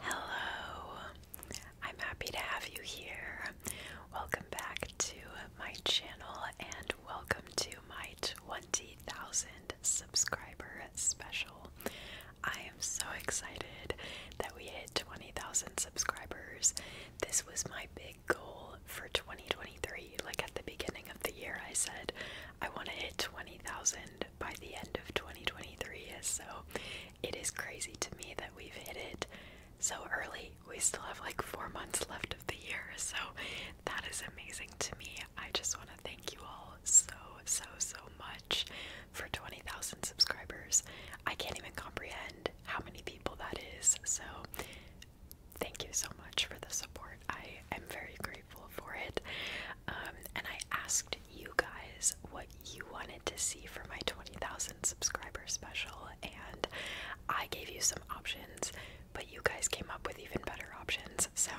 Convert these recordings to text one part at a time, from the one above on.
Hello, I'm happy to have you here. Welcome back to my channel and welcome to my 20,000 subscriber special. I am so excited that we hit 20,000 subscribers. This was my big goal for 2023. Like at the beginning of the year, I said I want to hit 20,000 by the end of 2023 is, so it is crazy to me that we've hit it so early. We still have like four months left of the year, so that is amazing to me. I just want to thank you all so, so, so much for 20,000 subscribers. I can't even comprehend how many people that is, so thank you so much for the support. I am very grateful for it. Um, and I asked you guys what you wanted to see for my 20,000 subscriber special, and I gave you some options, but you guys came up with even better options. So,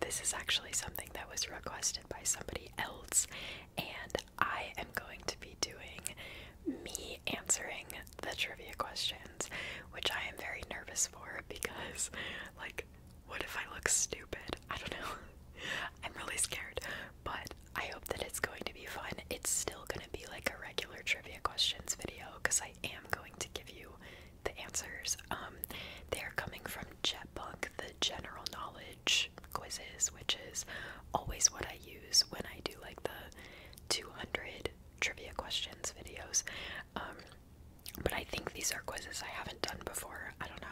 this is actually something that was requested by somebody else, and I am going to be doing me answering the trivia questions, which I am very nervous for because, like, what if I look stupid? I don't know. I'm really scared but I hope that it's going to be fun. It's still going to be like a regular trivia questions video because I am going to give you the answers. Um, they are coming from JetBunk, the general knowledge quizzes, which is always what I use when I do like the 200 trivia questions videos. Um, but I think these are quizzes I haven't done before. I don't know.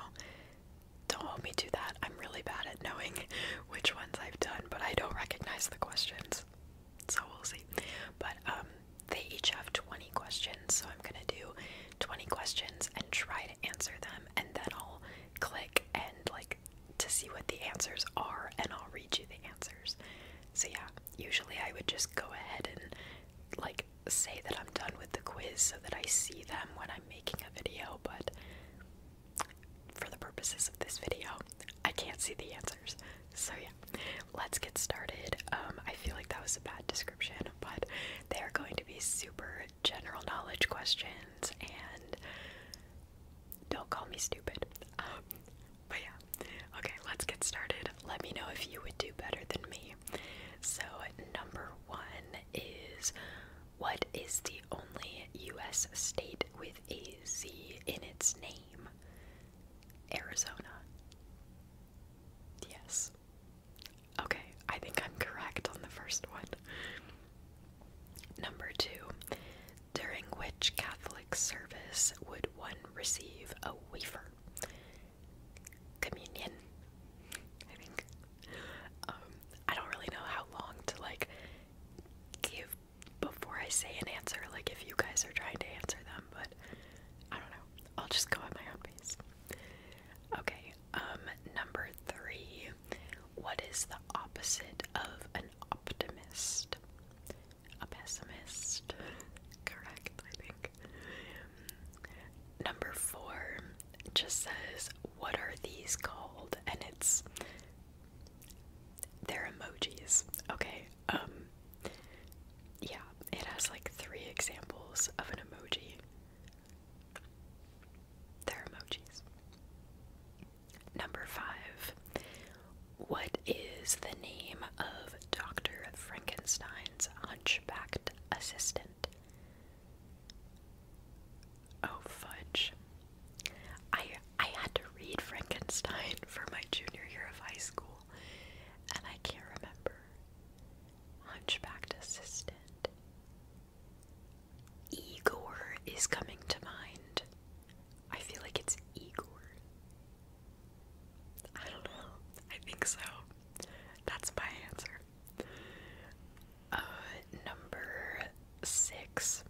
Don't hold me to that. I'm really bad at knowing which ones I've done, but I don't recognize the questions. So we'll see. But um, they each have 20 questions, so I'm going to do 20 questions and try to answer them and then I'll click and like to see what the answers are and I'll read you the answers. So yeah, usually I would just go ahead and like say that I'm done with the quiz so that I see them when I'm making a video but for the purposes of this video, I can't see the answers. So, yeah, let's get started. Um, I feel like that was a bad description, but they are going to be super general knowledge questions, and don't call me stupid. Um, but yeah, okay, let's get started. Let me know if you would do better than me. So, number one is what is the only U.S. state with a Z in its name? Arizona. Yes. Okay, I think I'm correct on the first one. Number two, during which Catholic service would one receive a wafer? Communion, um, I don't really know how long to like give before I say an answer, like if you guys are trying to answer them, but I don't know. I'll just go at my own pace. Okay, um, number three. What is the opposite of an optimist? A pessimist. Correct, I think. Number four just says, What are these called? And it's. They're emojis. Okay. Um. Yeah, it has like three examples of an emoji. They're emojis. Number five. What is the name of Dr. Frankenstein's hunchbacked assistant? Oh fudge. I I had to read Frankenstein for my junior year of high school and I can't remember. Hunchbacked assistant. Igor is coming to mind. I feel like it's Igor. I don't know. I think so. That's my answer. Uh, number six.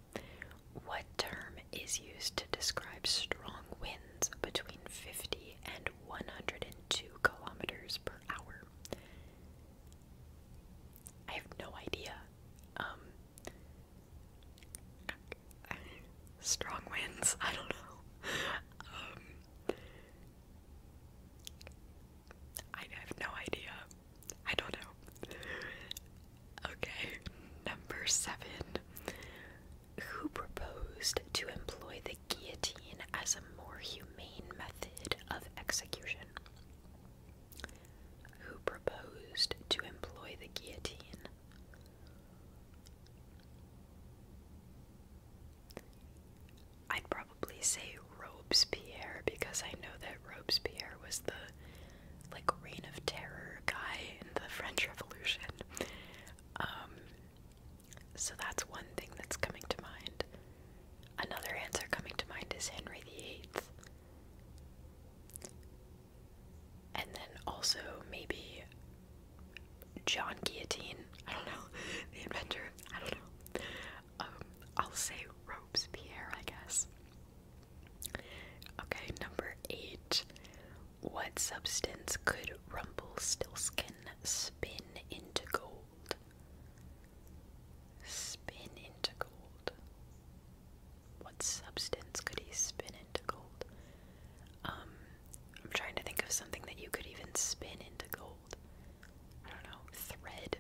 What term is used to describe strong winds between 50 and 102 kilometers per hour? I have no idea. Um, strong winds? I don't know. Um, I have no idea. I don't know. Okay, number seven. Who proposed to employ the guillotine as a more humane method of execution? Who proposed to employ the guillotine? I'd probably say Robespierre because I know that Robespierre was the like reign of terror guy in the French Revolution. Um, so that's one thing that's coming to mind. Another answer coming to mind is Henry VIII. And then also maybe John Guillotine. I don't know. The inventor. I don't know. Um, I'll say Robespierre, I guess. Okay, number eight. What substance could Rumpelstiltskin spin into gold? Spin into gold. What substance could he spin into gold? Um, I'm trying to think of something that you could even spin into gold. I don't know, thread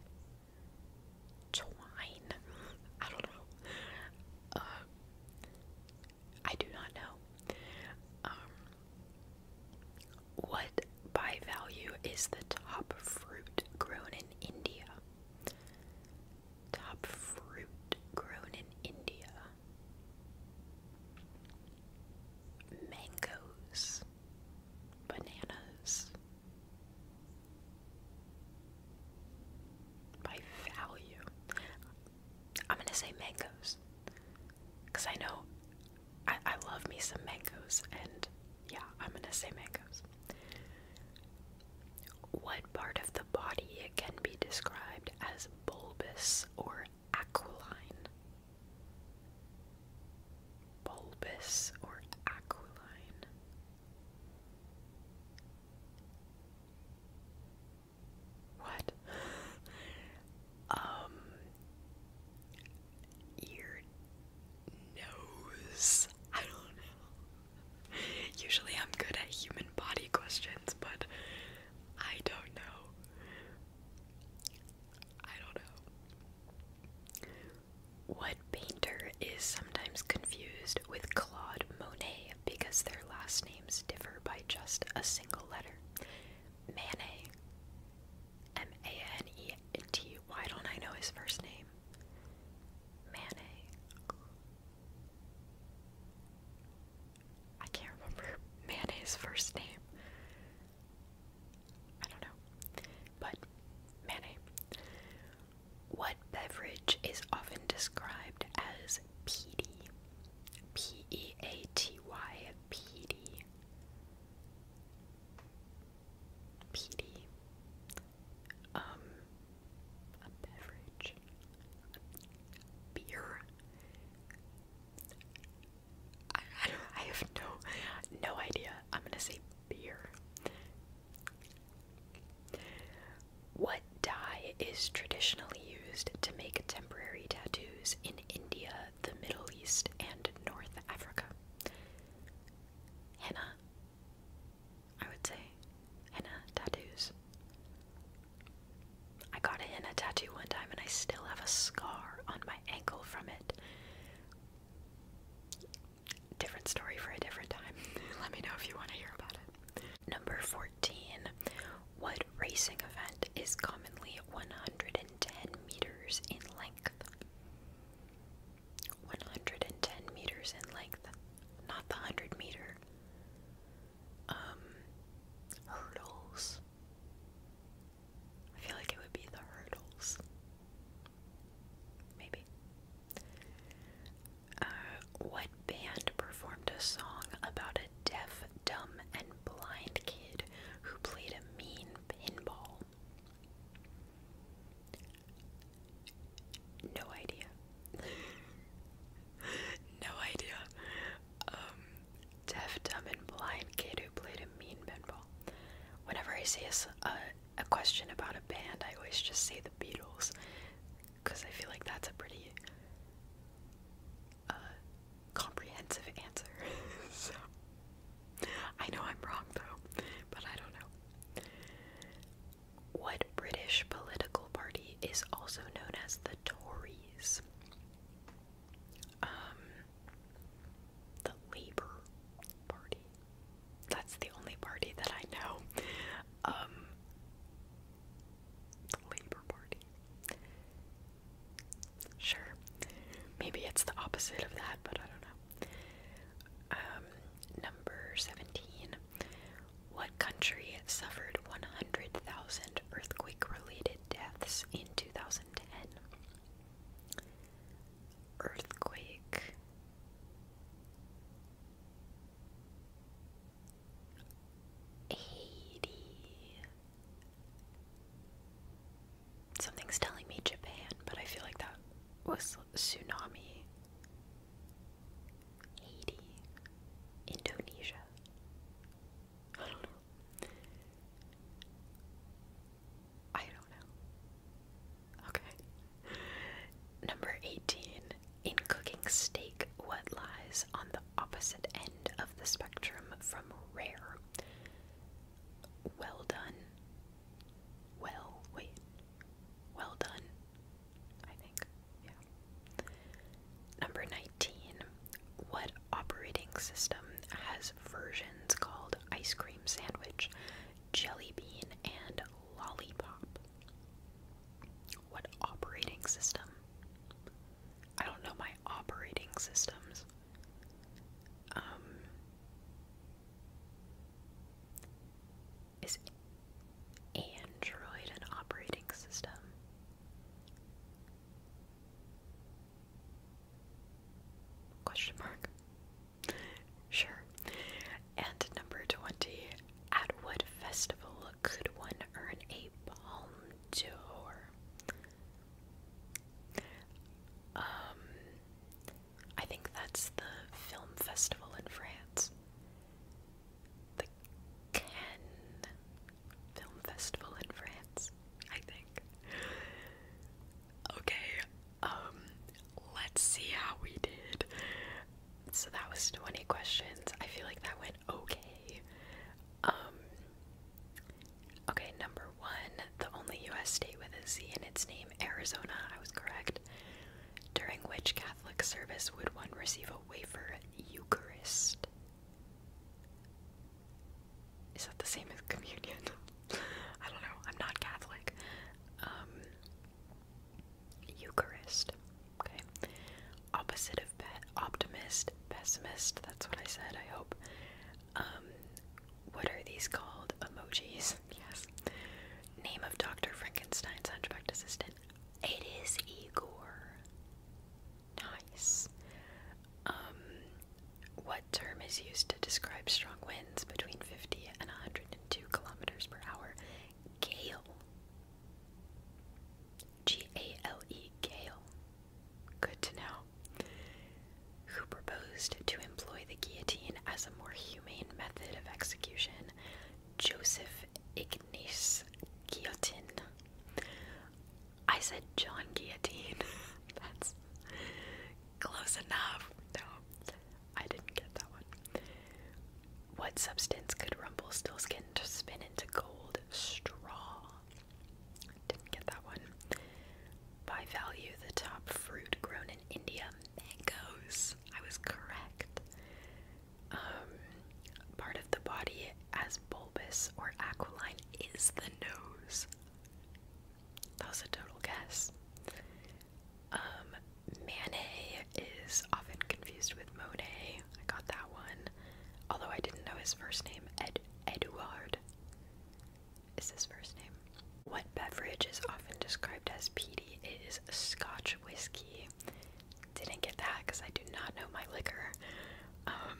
twine. I don't know. Um, I do not know. Um, what by value is the top fruit grown in India? Top fruit grown in India. Mangoes bananas by value. I'm gonna say mangoes because I know I, I love me some mangoes, and yeah, I'm gonna say mangoes. What part of the body can be described as bulbous or aquiline? Bulbous or aquiline? What? um, your nose. I don't know. Usually I'm good at human body questions, but I don't know. I don't know. Wood painter is sometimes confused with Claude Monet because their last names differ by just a single letter. Manet, M A N E T. Why don't I know his first name? Manet. I can't remember Manet's first name. I don't know. But Manet. What beverage is often described as peaty? P E A T Y, peaty. Peaty. Um, a beverage. beer. I, I have no, no idea. I'm gonna say beer. What dye is traditionally used to make temporary tattoos in India, the Middle East, and North Africa? Henna. I would say henna tattoos. I got a henna tattoo one time and I still have a scar on my ankle from it different story for a different time. Let me know if you want to hear about it. Number 14. What racing event is commonly 110 meters in length? 110 meters in length. Not the 100 meter. Um, hurdles. I feel like it would be the hurdles. Maybe. Uh, what band performed a song about a deaf, dumb, and blind kid who played a mean pinball? No idea. no idea. Um, deaf, dumb, and blind kid who played a mean pinball. Whenever I see a a question about a band, I always just say the Beatles, because I feel like that's a pretty uh, comprehensive answer. I know I'm wrong though, but I don't know. What British political party is also known as the Tories? Um, the Labour Party that's the only party that I know. Um, the Labour Party. Sure, maybe it's the opposite of that, but I don't know. Um, number 17. What country suffered 100,000 earthquake related deaths in 2010? earthquake. Haiti. Something's telling me Japan, but I feel like that was tsunami. Haiti. Indonesia. I don't know. I don't know. Okay. Number 18. In cooking steak, what lies on the opposite end of the spectrum from rare? Well done. Well, wait. Well done. I think. Yeah. Number 19. What operating system has versions called ice cream sandwich Jelly Bean, and Lollipop. What operating system? I don't know my operating systems. Um, is Android an operating system? Question mark. Sure. And number 20, at what festival could one earn a palm d'or? Um, I think that's the film festival in France. The Cannes Film Festival in France, I think. Okay, um, let's see how we did. So that was 20 questions. I feel like that went okay. Um, okay, number one, the only U.S. state with a Z in its name, Arizona. I was correct. During which Catholic service would one receive a wafer Eucharist? Is that the same as communion? I don't know. I'm not Catholic. Um, Eucharist. Okay. Opposite of pe optimist, pessimist, that's what I said, I hope. Um, what are these called? Emojis. Yes. Name of Dr. Frankenstein's hunchbacked assistant. It is Igor. Nice. Um, what term is used to describe strong winds between 50 and 102 kilometers per hour? Gale. G A L E Gale. Good to know. Who proposed to employ the guillotine as a more humane method of execution? Joseph Ignace Guillotin. I said John Guillotine. That's close enough. No, I didn't get that one. What substance could Rumpelstiltskin spin into gold? Straw. Didn't get that one. By value, the top fruit grown in India, mangoes. I was correct. Um, part of the body as bulbous or aquiline is the nose. That was a total guess. Um, Manet is often confused with Monet. I got that one. Although I didn't know his first name, Ed Eduard is his first name. What beverage is often described as peaty It is Scotch whiskey. Didn't get that because I do not know my liquor. Um,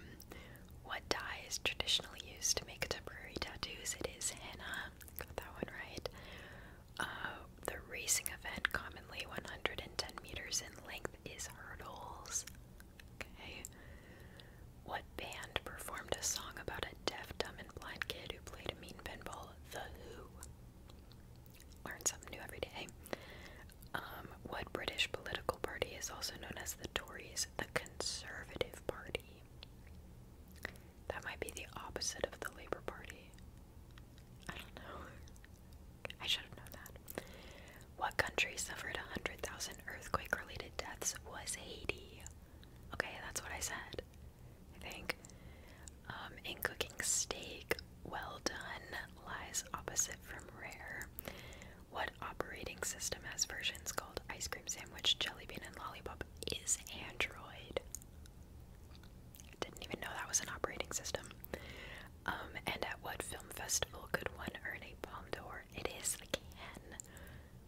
what dye is traditionally used to make temporary tattoos? It is henna. Got that one right. Uh, the racing event, commonly 110 meters in length, is hurdles. Okay. What band performed a song about a deaf, dumb, and blind kid who played a mean pinball? The Who. Learn something new every day. Um, what British political party is also known as the Tories? The Conservative Party. That might be the opposite of the Labour Party. I don't know. I should have known that. What country suffered 100,000 earthquake related deaths was Haiti? Okay, that's what I said. I think. Um, in cooking steak, well done lies opposite from rare. What operating system has versions called ice cream sandwich, jelly bean, and lollipop is Android? Didn't even know that was an operating system. Um, and at what film festival could one earn a palm d'Or? It is the Cannes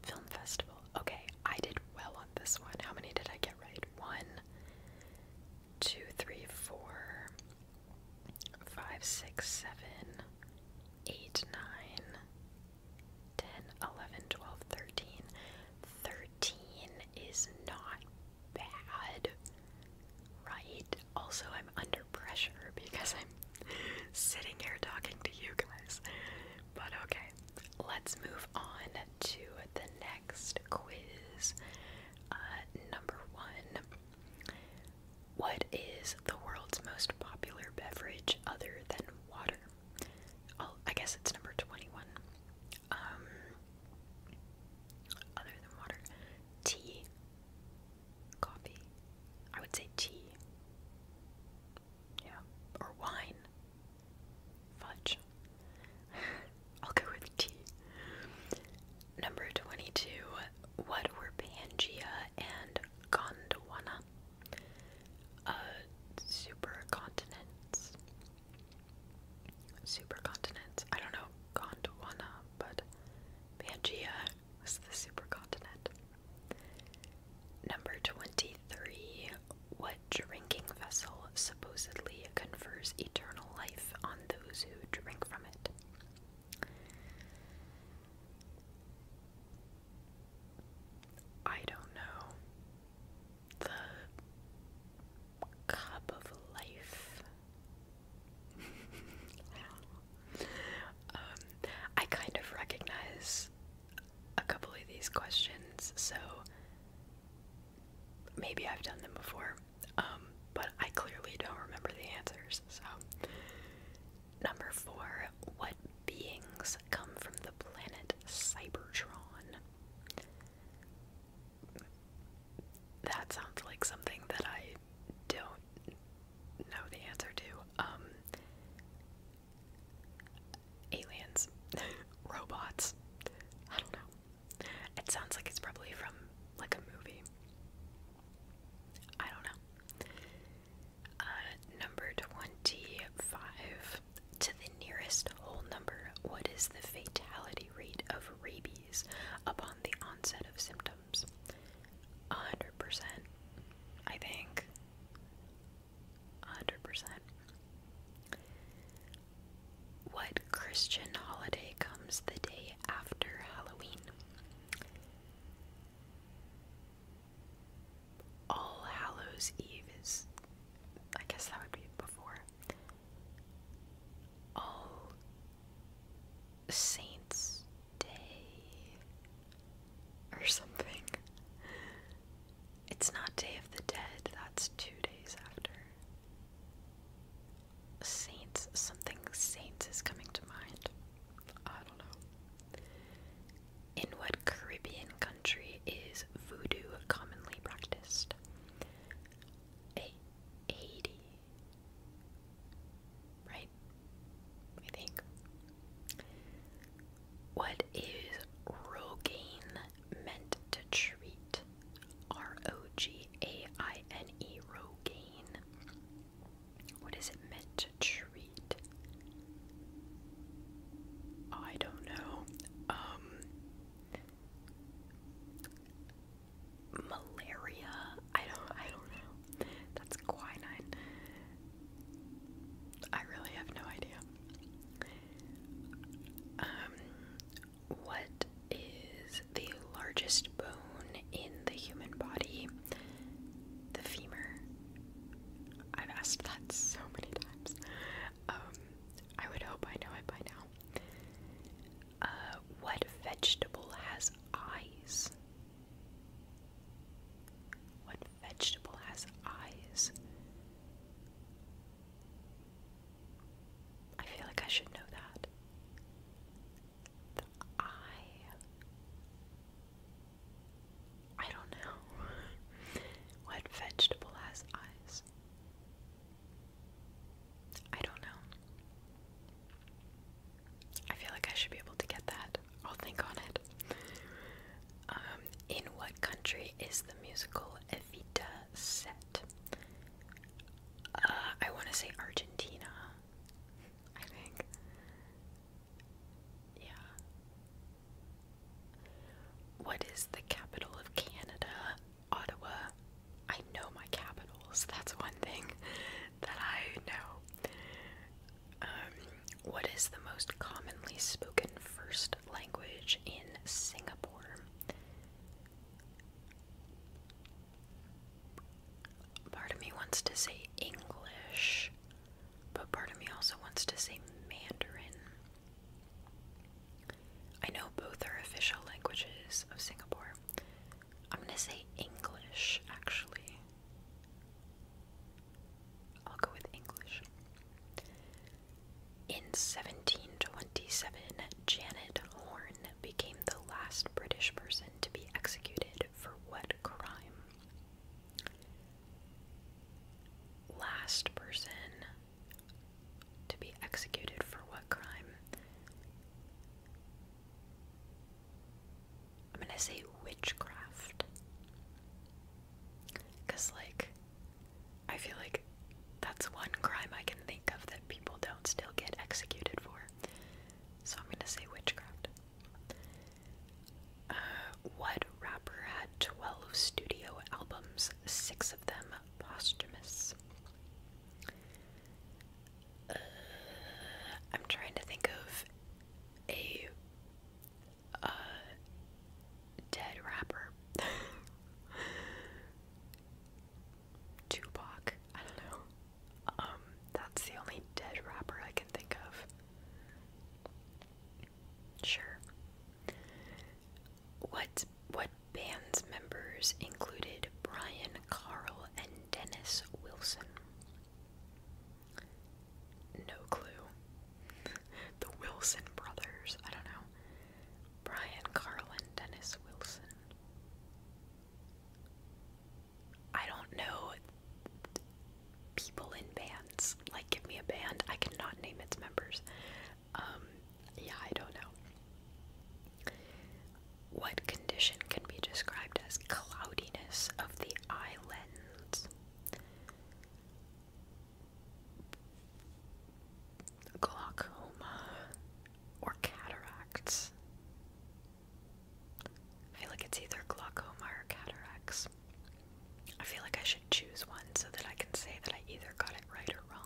Film Festival. Okay, I did well on this one. How many did I get right? One, two, three, four, five, six, seven, eight, nine, ten, eleven, twelve, thirteen. Thirteen is not bad, right? Also, I'm under pressure because I'm sitting here talking to you guys. But okay, let's move on to the next quiz. Uh, number one What is the world's most popular beverage other than water? i oh, I guess it's number 21 um, other than water, tea, coffee. I would say tea. Yeah, or wine. Fudge. I'll go with tea. Number 22. What were Pangea and Gondwana? Uh, supercontinents supercontinents. I don't know Gondwana, but Pangea was the supercontinent. Number 23. What drinking vessel supposedly confers eternal life on those who drink from it? I don't know the cup of life. Um, I kind of recognize a couple of these questions, so maybe I've done them before, um, but I clearly don't remember the answers. So, number four, what beings come from the planet Cybertron? that sounds like something that I don't know the answer to. Um, aliens, robots. I don't know. It sounds like it's probably from like a movie. I don't know. Uh, number 25. To the nearest whole number, what is the fatality rate of rabies upon the onset of symptoms? 100%, I think. 100%. What Christian holiday comes the day after Halloween? All Hallows Eve is. I guess that would be before. All Saints Day or something. It's not Day of the Dead, that's two days after. Saints, something Saints is coming to mind. I don't know. In what Caribbean country is voodoo commonly practiced? 80. Right? I think. What is Rogaine meant to treat? R O G A I N E, Rogaine. What is it meant to treat? I don't know. Um, malaria. I don't I don't know. That's quinine. I really have no idea. Um what is the largest bone in the human body? The femur. I've asked that so many times. Um I would hope I know it by now. Uh, what vegetable has eyes? What vegetable has eyes? I feel like I should know that. The eye. I don't know. what vegetable has eyes? I don't know. I feel like I should be able to get that. I'll think on it. Um, in what country is the musical Evita set? Uh, I want to say Argentina. I think. Yeah. What is the capital of Canada? Ottawa. I know my capitals. That's one thing that I know. Um, what is the most commonly spoken first language in Singapore? Part of me wants to say English, but part of me also wants to say Mandarin. I know both are official languages of Singapore. I'm gonna say English, actually. I'll go with English. In 1727, Janet Horn became the last British person to be executed for what crime? Last person to be executed for what crime? I'm gonna say witchcraft. Because, like, I feel like that's one crime I can think of that people don't still get executed for. So I'm gonna say witchcraft. Uh, what rapper had 12 studio albums, six of them posthumous? Uh, I'm trying to think of a uh, dead rapper. Tupac. I don't know. Um, that's the only dead rapper I can think of. Sure. What what Band's members included Brian Carl and Dennis Wilson. No clue. The Wilson brothers, I don't know. Brian Carl and Dennis Wilson. I don't know people in bands. Like, give me a band. I cannot name its members. Um, yeah, I don't know. What condition can be described as cloudiness of the eye lens? Glaucoma or cataracts? I feel like it's either glaucoma or cataracts. I feel like I should choose one so that I can say that I either got it right or wrong.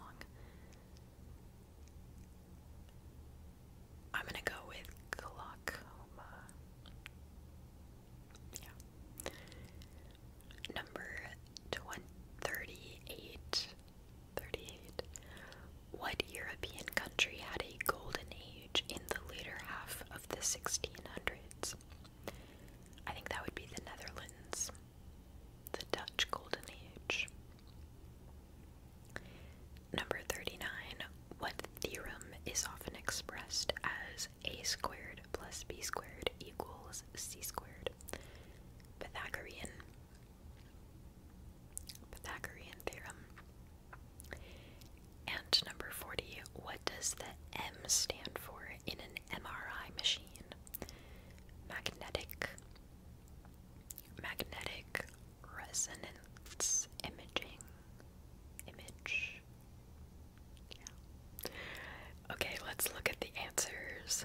I'm gonna go with glaucoma. Yeah. Number 20, 38. What European country had a golden age in the later half of the 1600s? I think that would be the Netherlands. The Dutch Golden Age. Number 39. What theorem is often expressed as a squared plus b squared equals c squared? Pythagorean. Pythagorean theorem. And number 40. What does the M stand for in an MRI machine? Magnetic magnetic resonance imaging image. Yeah. Okay, let's look at the answers.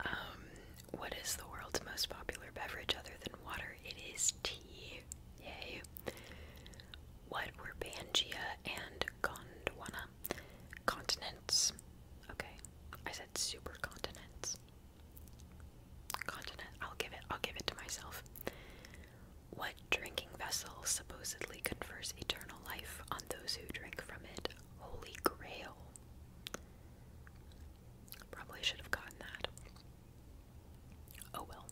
Um, what is the world's most popular beverage other than water? It is tea. Yay. What were Pangaea and Gondwana continents? Okay, I said supercontinents. Continent. I'll give it. I'll give it to myself. What drinking vessel supposedly confers eternal life on those who drink from it? Holy Grail. Probably should have gotten that. Oh well.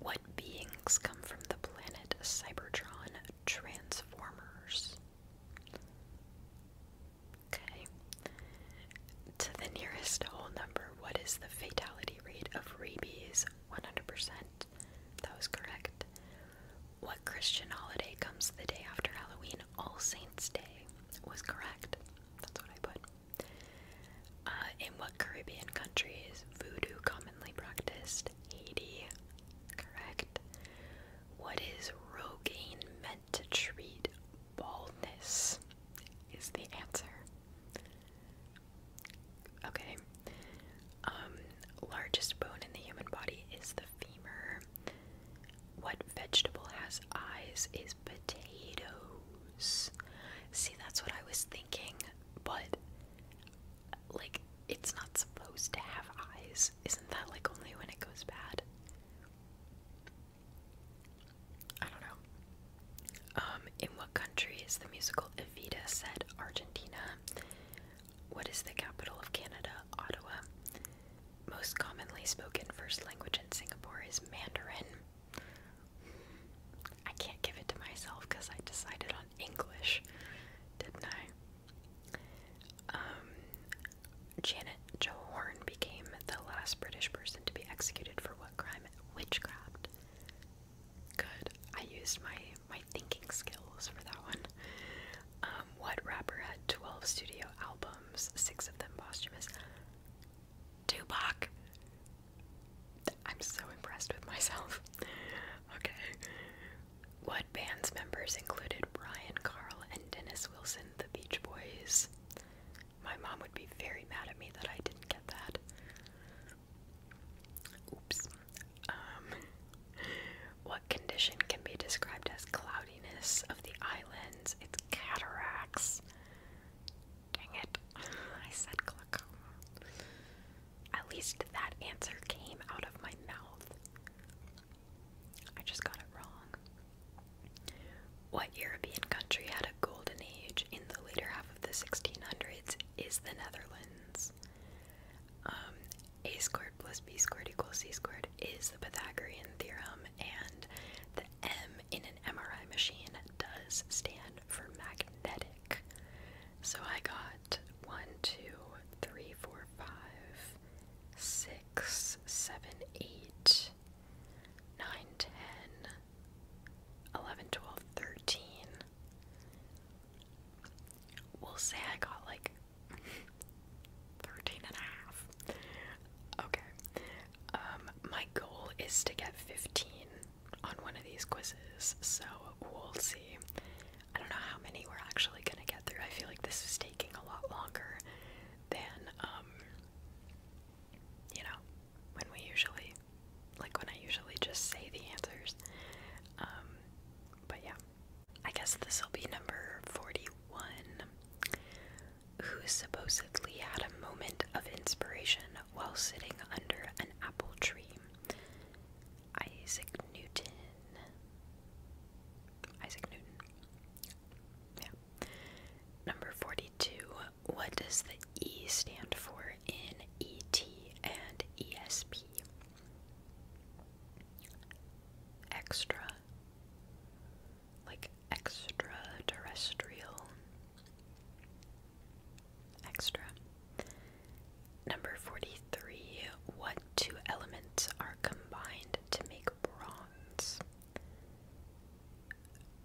What beings come from the planet Cybertron Transformers? Okay. To the nearest whole number, what is the fatality rate of rabies? 100%. That was correct. What Christian holiday comes the day after Halloween? All Saints' Day was correct. That's what I put. Uh, in what Caribbean country is voodoo commonly practiced? Haiti. Correct. What is Rogaine to treat baldness? Is the answer. Okay. Um, largest bone in the human body is the femur. What vegetable has eyes is potatoes. See, that's what I was thinking, but like it's not supposed to have eyes. Isn't that like only when it goes bad? I don't know. Um, in what country is the musical Evita set? Argentina. What is the capital of Canada? Ottawa. Most commonly spoken first language in Singapore is Mandarin. I can't give it to myself because I decided on English, didn't I? Um, Janet Jo Horn became the last British person to be executed for what crime? Witchcraft. Good. I used my my thinking skills for that one. Um, what rapper had 12 studio albums, six of them posthumous? Tupac. I'm so impressed with myself. Okay. What band's members included Brian Carl and Dennis Wilson, the Beach Boys? My mom would be very mad at me that I didn't get that. Oops. Um, what condition can be described as cloudiness of the islands? It's cataracts. Dang it. I said glaucoma. At least that answer came out of my mouth. I just got it wrong. What European country had a golden age in the later half of the 1600s is the Netherlands? Um, a squared plus b squared equals c squared is the Pythagorean theorem, and the M in an MRI machine does stand for magnetic. So I got 1, 2, 3, 4, 5, 6, 7, 8, 8, 9, 10, 11, 12, 13. We'll say I got like 13 and a half. Okay. Um, my goal is to get 15 on one of these quizzes, so we'll see. I don't know how many we're actually gonna get through. I feel like this is taking a lot longer than um you know, when we usually, like when I usually just say the answers. Um, but yeah, I guess this will be number 41. Who supposedly had a moment of inspiration while sitting under an apple tree? Isaac Newton. Isaac Newton. Yeah. Number 42. What does the E stand for in ET and ESP? Extra. Like extraterrestrial. Extra. Number 43. What two elements are combined to make bronze?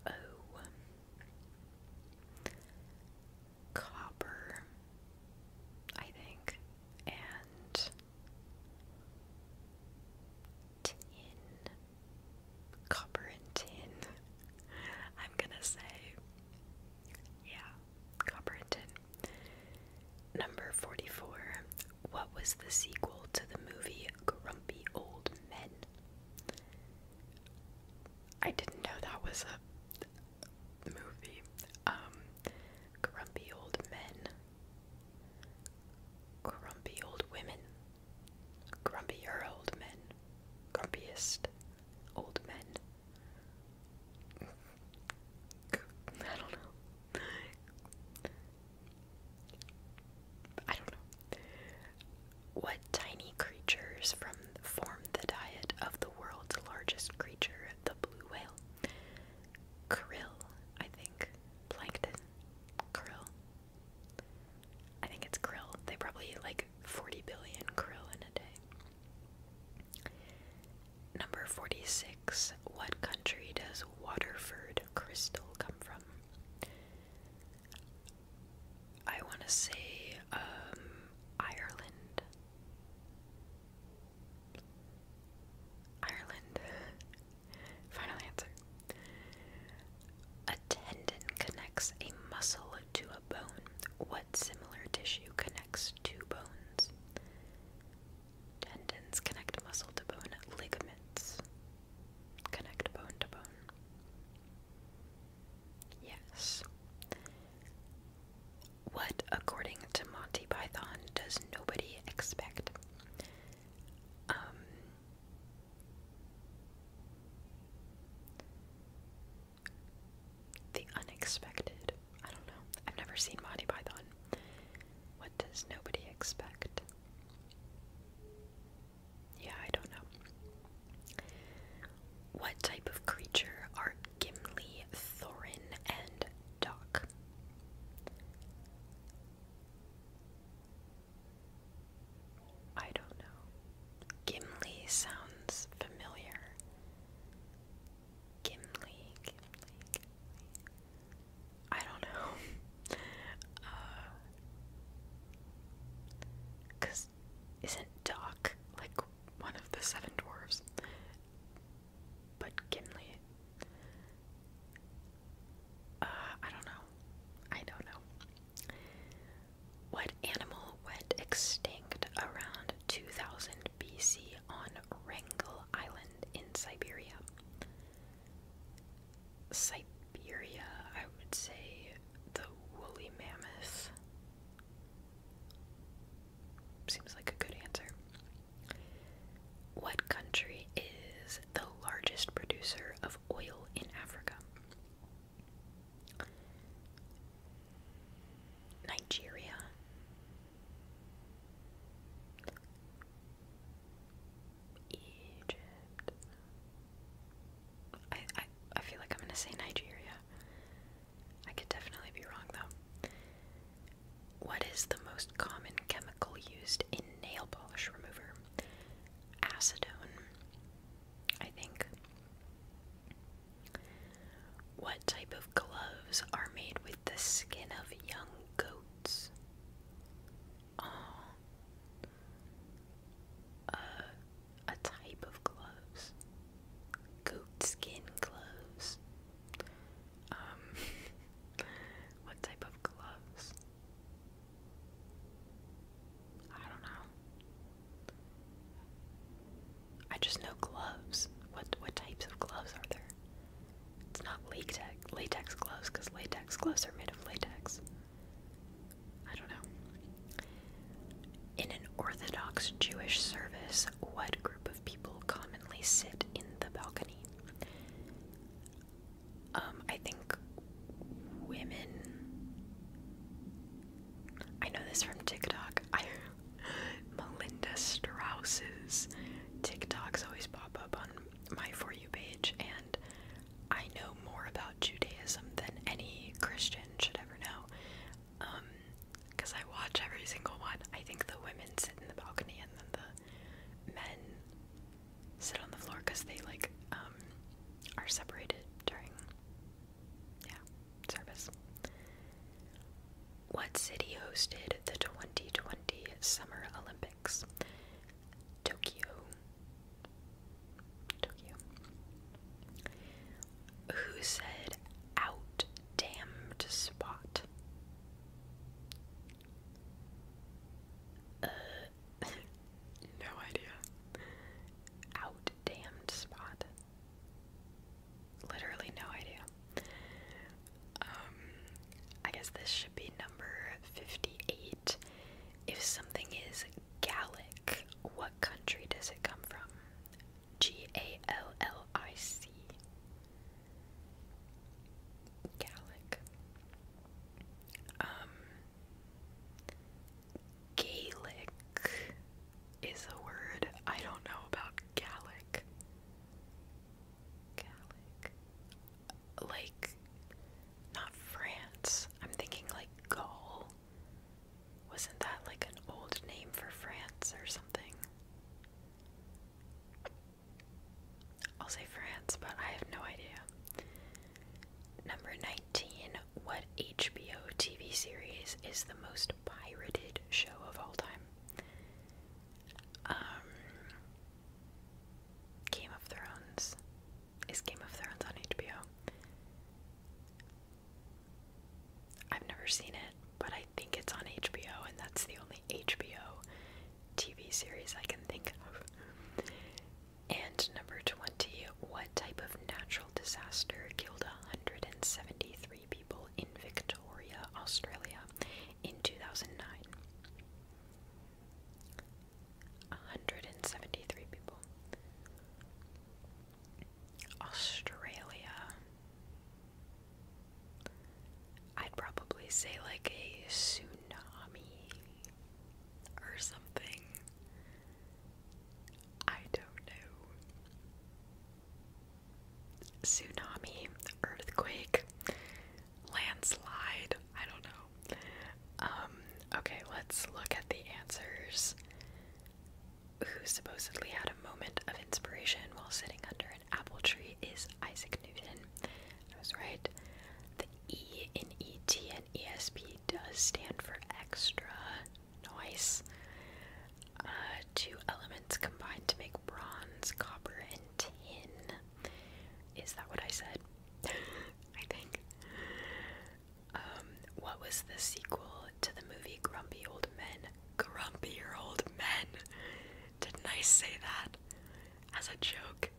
Oh, copper, I think, and tin. Copper and tin. I'm gonna say, yeah, copper and tin. Number 44. What was the sequel to the movie Grumpy Old Men? I didn't know that was a movie. Um, Grumpy Old Men. Grumpy Old Women. Grumpier Old Men. Grumpiest Old Men. I don't know. I don't know. What tiny creatures from form the diet of the world's largest creature, the blue whale? Krill, I think. Plankton. Krill. I think it's krill. They probably eat like 40 billion krill in a day. Number 46. What country does Waterford crystal come from? I want to say um, Ireland. Ireland. Final answer. A tendon connects a muscle to a bone. What similar tissue connects two bones? Tendons connect muscle to bone. Ligaments. Connect bone to bone. Yes. What, according to Monty Python, does nobody expect? Um, the unexpected. I don't know. I've never seen Monty Python. What does nobody expect? Yeah, I don't know. What type of creature are Gimli, Thorin, and Doc? I don't know. Gimli sounds familiar. Gimli, Gimli, I don't know. Uh, Cause isn't Doc like one of the seven dwarves? But Gimli. Uh, I don't know. I don't know. What animal went extinct around 2000 BC on Wrangel Island in Siberia? Siberia, I would say the woolly mammoth. Seems like a good answer. What country is the largest producer of oil in Africa? Nigeria. Egypt. I, I I feel like I'm gonna say Nigeria. I could definitely be wrong though. What is the most common chemical used in nail polish remover? Acetone, I think. What type of gloves are made with the skin of young goats? on uh, a, a type of gloves, goat skin gloves. Um, what type of gloves? I don't know. I just know gloves. What what types of gloves are there? It's not latex latex gloves because latex gloves are made of latex. I don't know. In an Orthodox Jewish service, what group of people commonly sit in the balcony? Um, I think women. I know this from TikTok. Melinda Strauss's TikToks always pop up on my For You page, and I know more about Judaism than any Christian should ever know. because um, I watch every single one. I think the women sit in the balcony and then the men sit on the floor because they like um, are separated during yeah service. What city hosted the 2020 Summer Olympics? Tokyo. Tokyo. Who said out damned spot? Uh, no idea. Out damned spot. Literally no idea. Um, I guess this should be number 58. If something is Gallic, what country does it come from? G A L L I C. Gallic. Um, Gaelic is a word I don't know about Gallic. Gallic. Like not France. I'm thinking like Gaul. Wasn't that like an old name for France or something? I'll say France, but I have no idea. Number 19. What HBO TV series is the most pirated show of all time? Um, Game of Thrones is Game of Thrones on HBO. I've never seen it, but I think it's on HBO, and that's the only HBO TV series I can think of. And number 20, what type of natural disaster killed 173 people in Victoria, Australia in 2009? 173 people. Australia. I'd probably say like a tsunami or something. I don't know. Tsunami, earthquake, landslide, I don't know. Um, okay, let's look at the answers. Who supposedly had a moment of inspiration while sitting under an apple tree is Isaac Newton. I was right. The E in ET and ESP does stand for extra. noise. Uh, two elements combined to make bronze, copper, and tin. Is that what I said? I think. Um, what was the sequel to the movie Grumpy Old Men? Grumpy Old Men! Didn't I say that as a joke?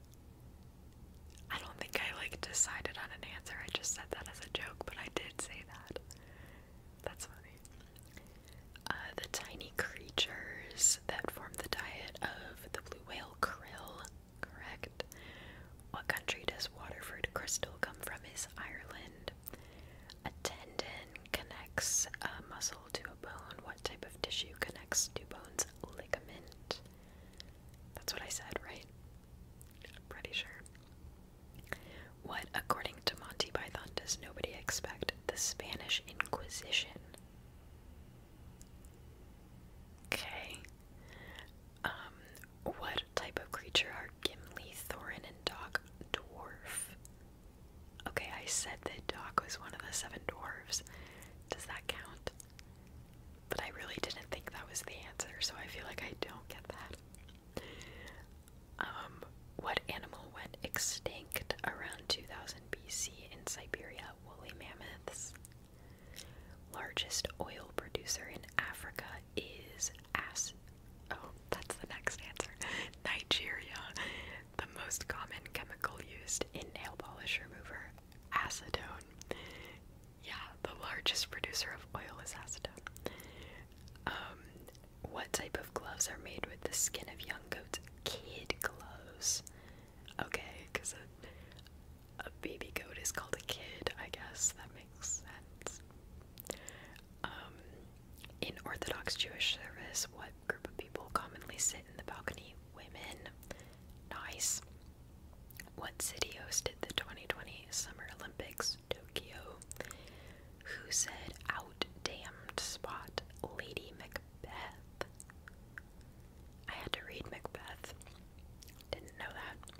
I don't think I like decided on an answer. I just said that as a joke, but I did say that. That's funny. Uh, the tiny creatures that form the diet of the blue whale krill Correct. What country does Waterford crystal come from? Is Ireland. A tendon connects a muscle to a bone. What type of tissue connects to bones? Ligament. That's what I said, right? pretty sure. What, according to Monty Python, does nobody expect? The Spanish Inquisition. Okay. Um, what type of creature are Gimli, Thorin, and Doc dwarf? Okay, I said that Doc was one of the seven dwarves. Does that count? But I really didn't think that was the answer, so I feel like I don't get that. Um, what animal went extinct around 2000 BC in Siberia? Woolly mammoths. Largest oil producer in Africa is As. Oh, that's the next answer. Nigeria. The most common chemical used in nail polish remover, acetone. Yeah, the largest producer of oil is acetone. Um, what type of gloves are made with the skin of young goats? Kid gloves. Okay, because uh, a baby goat is called a kid, I guess. That makes sense. Um, in Orthodox Jewish service, what group of people commonly sit in the balcony? Women. Nice. What city hosted the 2020 Summer Olympics? Tokyo. Who said out damned spot? Lady Macbeth. I had to read Macbeth. Didn't know that.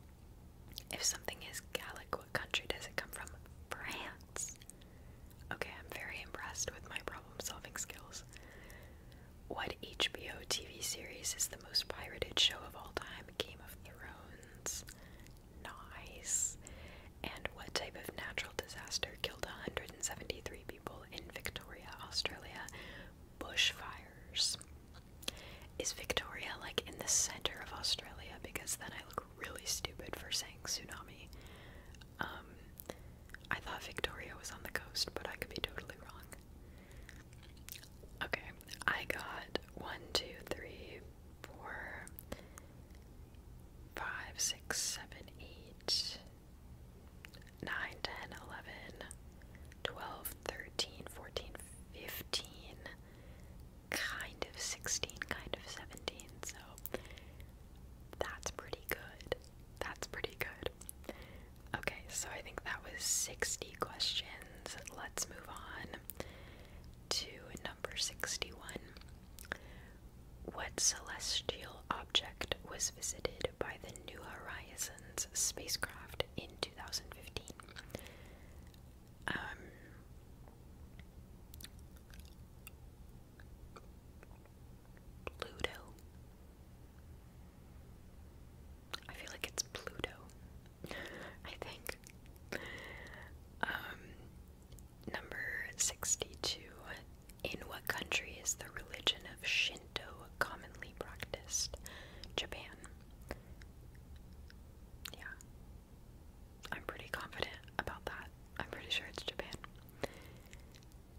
If something is Gallic, what country does it come from? France. Okay, I'm very impressed with my problem solving skills. What HBO TV series is the most pirated show of all time? Game of Thrones. Nice. And what type of natural disaster killed 173 people in Victoria, Australia? Bushfires. Is Victoria like in the center of Australia? Because then I look really stupid for saying tsunami. Um, I thought Victoria was on the coast, but I could be totally wrong. Okay, I got one, two, three, four, five, six, seven, eight, nine, ten, eleven, 12, 13, 14, 15, kind of 16, kind of 17. So that's pretty good. That's pretty good. Okay, so I think that was 60 questions. Let's move on to number 61. What celestial object was visited by the New Horizons spacecraft in 2015? Um, Pluto. I feel like it's Pluto. I think. Um, number 62. In what country is the religion of Shinto commonly practiced? Japan. Yeah. I'm pretty confident about that. I'm pretty sure it's Japan.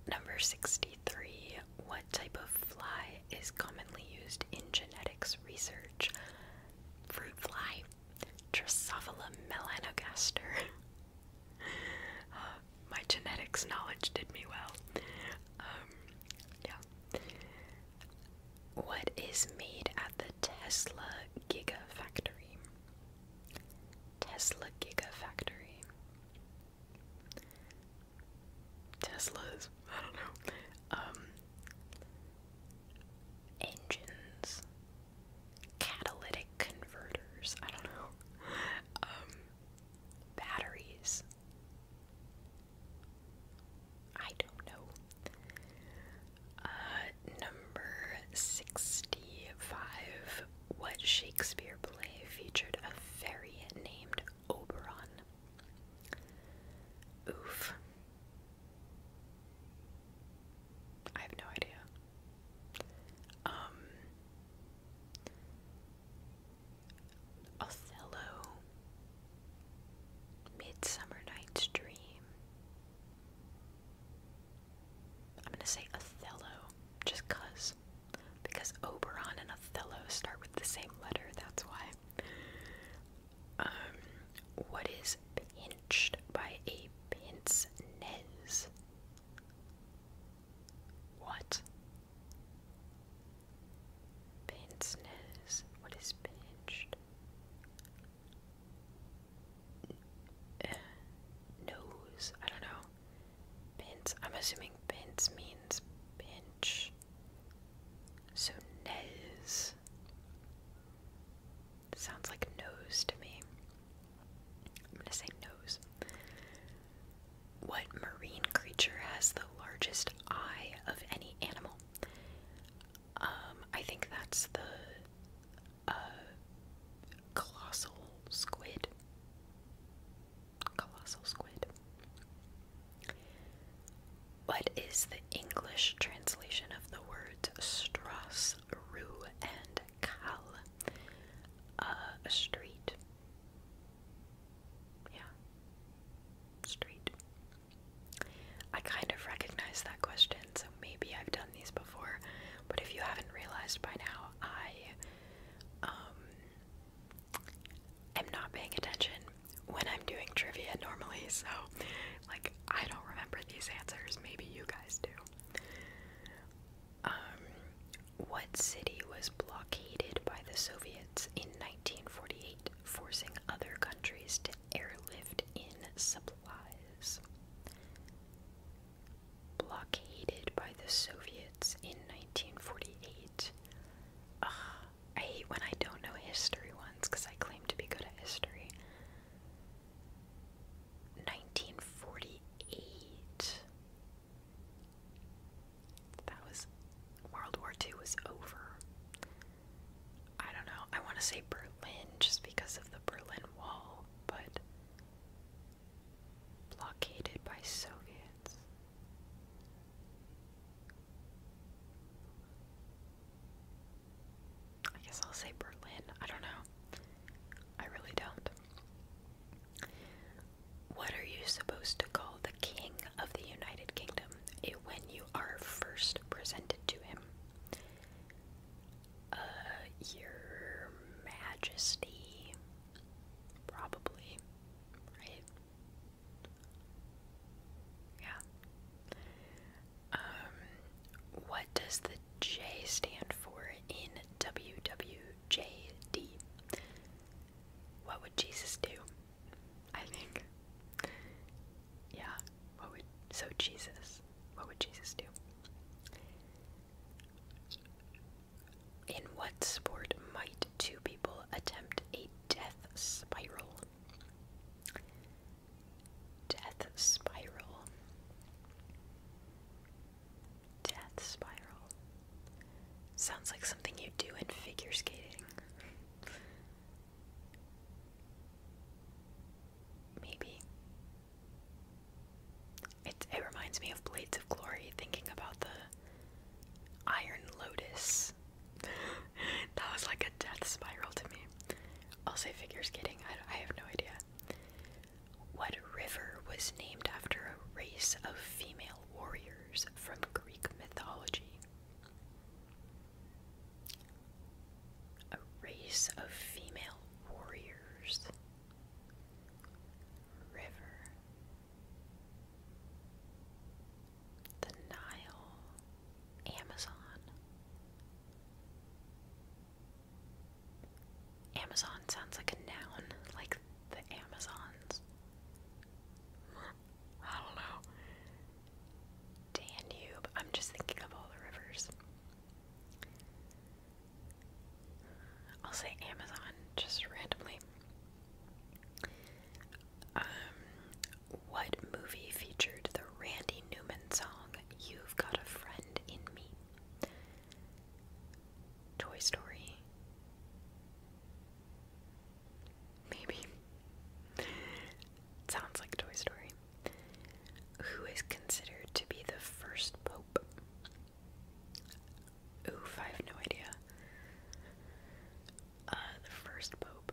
Number 63. What type of fly is commonly used in genetics research? Fruit fly. Drosophila melanogaster. Uh, my genetics knowledge did me well. Um, yeah. What is made at the Tesla Gigafactory? Tesla Gigafactory. Teslas, I don't know. Um engines. Catalytic converters, I don't know. Um batteries. I don't know. Uh, number 65. What Shakespeare play featured a fairy named Oberon? Oof. I have no idea. Um. Othello. Midsummer Night's Dream. I'm gonna say Othello, just cuz. Because Oberon and Othello start with the same letter, that's why. Um, what is pinched by a pince nez? What? Pinceness. What is pinched? Uh, nose. I don't know. Pinch. I'm assuming pinch means pinch. So nose. Sounds like nose to me. I'm gonna say nose. What marine creature has the largest eye of any animal? Um, I think that's the uh, colossal squid. Colossal squid. What is the English translation of the words strass, rue, and kal? Uh, a street. Yeah. Street. I kind of recognize that question, so maybe I've done these before, but if you haven't realized by now, I um, am not paying attention when I'm doing trivia normally, so like I don't remember these answers. Maybe you guys do. Um, what city was blockaded by the Soviets in 1948, forcing other countries to airlift in supplies. Blockaded by the Soviets in 1948. I hate when I don't know history ones because I claim to be good at history. 1948. That was. World War II was over. I don't know. I want to say Berlin just because of the Berlin Wall, but blockaded by Soviets. I guess I'll say Berlin. I don't know. I really don't. What are you supposed to call the king of the United Kingdom eh, when you are first presented to him. Uh, Your Majesty, probably, right? Yeah. Um, what does the J stand for in WWJD? What would Jesus do? I think yeah, what would so Jesus? What would Jesus do? In what sport might two people attempt a death spiral? Death spiral. Death spiral. Sounds like something you do in figure skating. Maybe. It, it reminds me of Blades of Glory, thinking about the Iron Lotus. that was like a death spiral to me. I'll say figure skating, I, I have no idea. What river was named after a race of female warriors from Greek mythology? a race of female warriors, river, the Nile, Amazon. Amazon sounds like a noun, like the Amazons. I don't know. Danube. I'm just thinking of all the rivers. I'll say Amazon just randomly. Um, what movie featured the Randy Newman song "You've Got a Friend in Me"? Toy Story. Maybe. sounds like Toy Story. Who is considered to be the first pope? Oof, I have no idea. Uh, the first pope.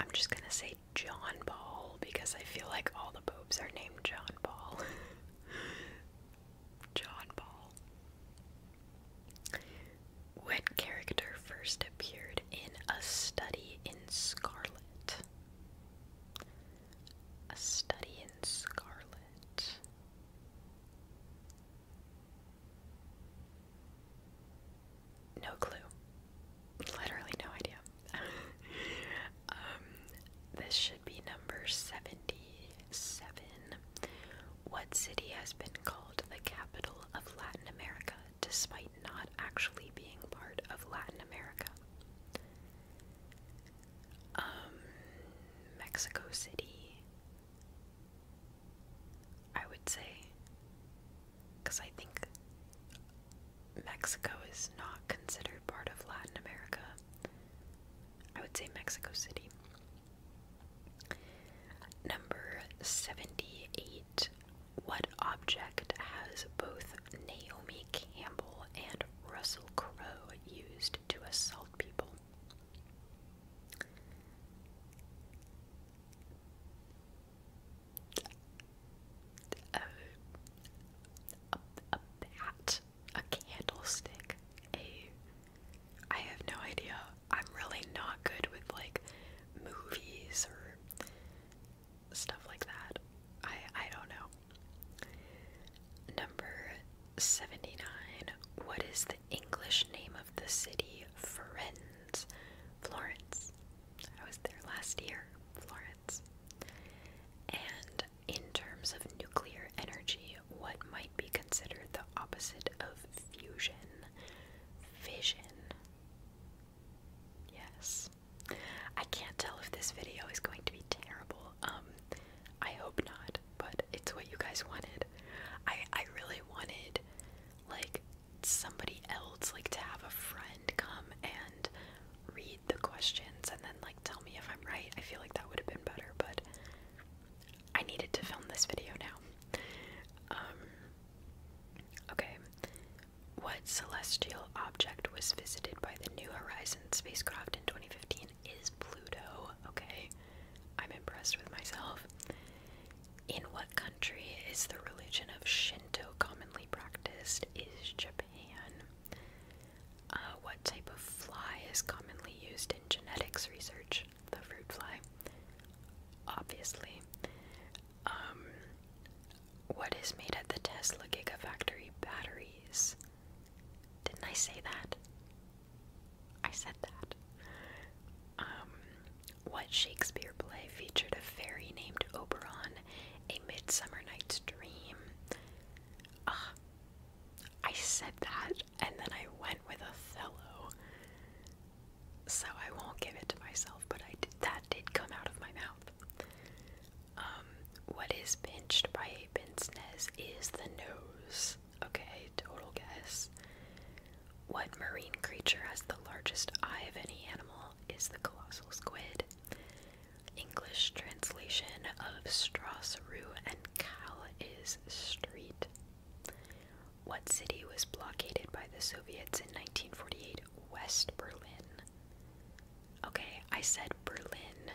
I'm just gonna say John Paul because I feel like all the popes are named John Paul. John Paul. What character first appeared in A Study in Scarlet? A Study in Scarlet. No clue. Literally no idea. um, this should be number 77. What city has been called the capital of Latin America despite not actually being part of Latin America? Um, Mexico City, I would say, because I think Mexico is not considered part of Latin America. I would say Mexico City. Number 78. What object has both Naomi Campbell and Russell Crowe used to assault people? A, a, a bat, a candlestick, a. I have no idea. I'm really not good with like movies or stuff like that. I I don't know. Number 79. What is the English name of the city Florence? Florence. I was there last year, Florence. And in terms of nuclear energy, what might be considered the opposite of fusion? vision. Yes. I can't tell if this video is going to be terrible. Um I hope not, but it's what you guys wanted. I I really wanted like somebody else like to have a friend come and read the questions and then like tell me if I'm right. I feel like that would have been better, but I needed to film this video now. Um, okay. What celestial object was visited by the New Horizons spacecraft in 2015 is Pluto. Okay. I'm impressed with myself. In what country is the religion of Shinto commonly practiced? Is Japan. Uh, what type of fly is commonly used in genetics research? the fruit fly, obviously. Um, what is made at the Tesla Gigafactory? Batteries. Didn't I say that? I said that. Um, what Shakespeare play featured a fairy named Oberon, a Midsummer Night's Dream? Ah, I said that, and then I went with Othello so I won't give it to myself, but I did, that did come out of my mouth. Um, what is pinched by a pince nez is the nose. Okay, total guess. What marine creature has the largest eye of any animal is the colossal squid. English translation of straw, and cal is street. What city was blockaded by the Soviets in 1948? West Berlin. Okay, I said Berlin.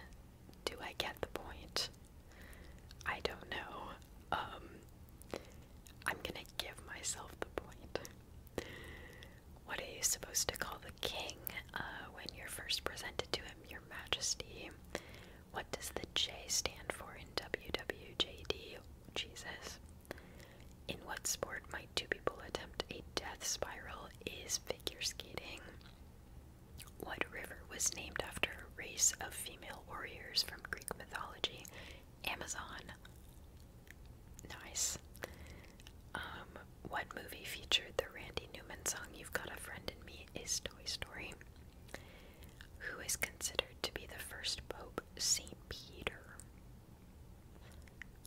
Do I get the point? I don't know. Um, I'm gonna give myself the point. What are you supposed to call the king uh, when you're first presented to him? Your Majesty. What does the J stand for in WWJD? Jesus. In what sport might two people attempt a death spiral is figure skating? What river was named after a race of female warriors from Greek mythology? Amazon. Nice. Um, what movie featured the Randy Newman song You've Got a Friend in Me is Toy Story? Who is considered to be the first pope? St. Peter.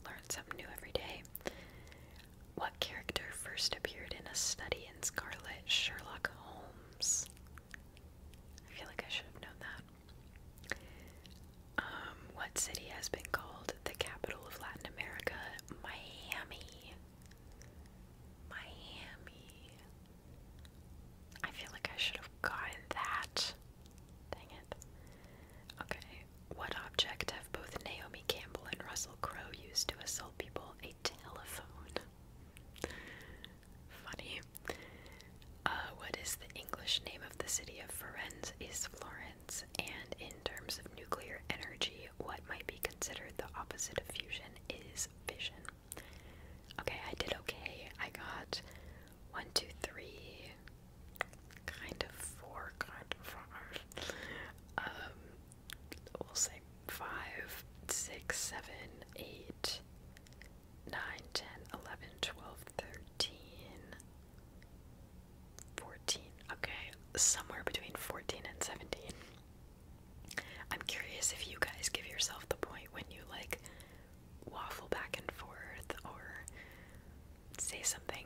Learn something new every day. What character first appeared in a study in Scarlet Sherlock Holmes? I feel like I should have known that. Um, what city has been called the capital of Latin America? Miami. Miami. I feel like I should have gotten that. Dang it. Okay. What object have both Naomi Campbell and Russell Crowe used to assault people? A telephone. Funny. Uh, what is the English name of the city of Florence? Is Florence. And in terms of nuclear energy, what might be considered the opposite of fusion is fission. Okay, I did okay. I got one, two, three, kind of four, kind of five. Um, we'll say five, six, seven, eight, nine, ten, eleven, twelve, thirteen, fourteen. Okay, somewhere between fourteen and seventeen. I'm curious if you guys give yourself the point when you like waffle back and forth or say something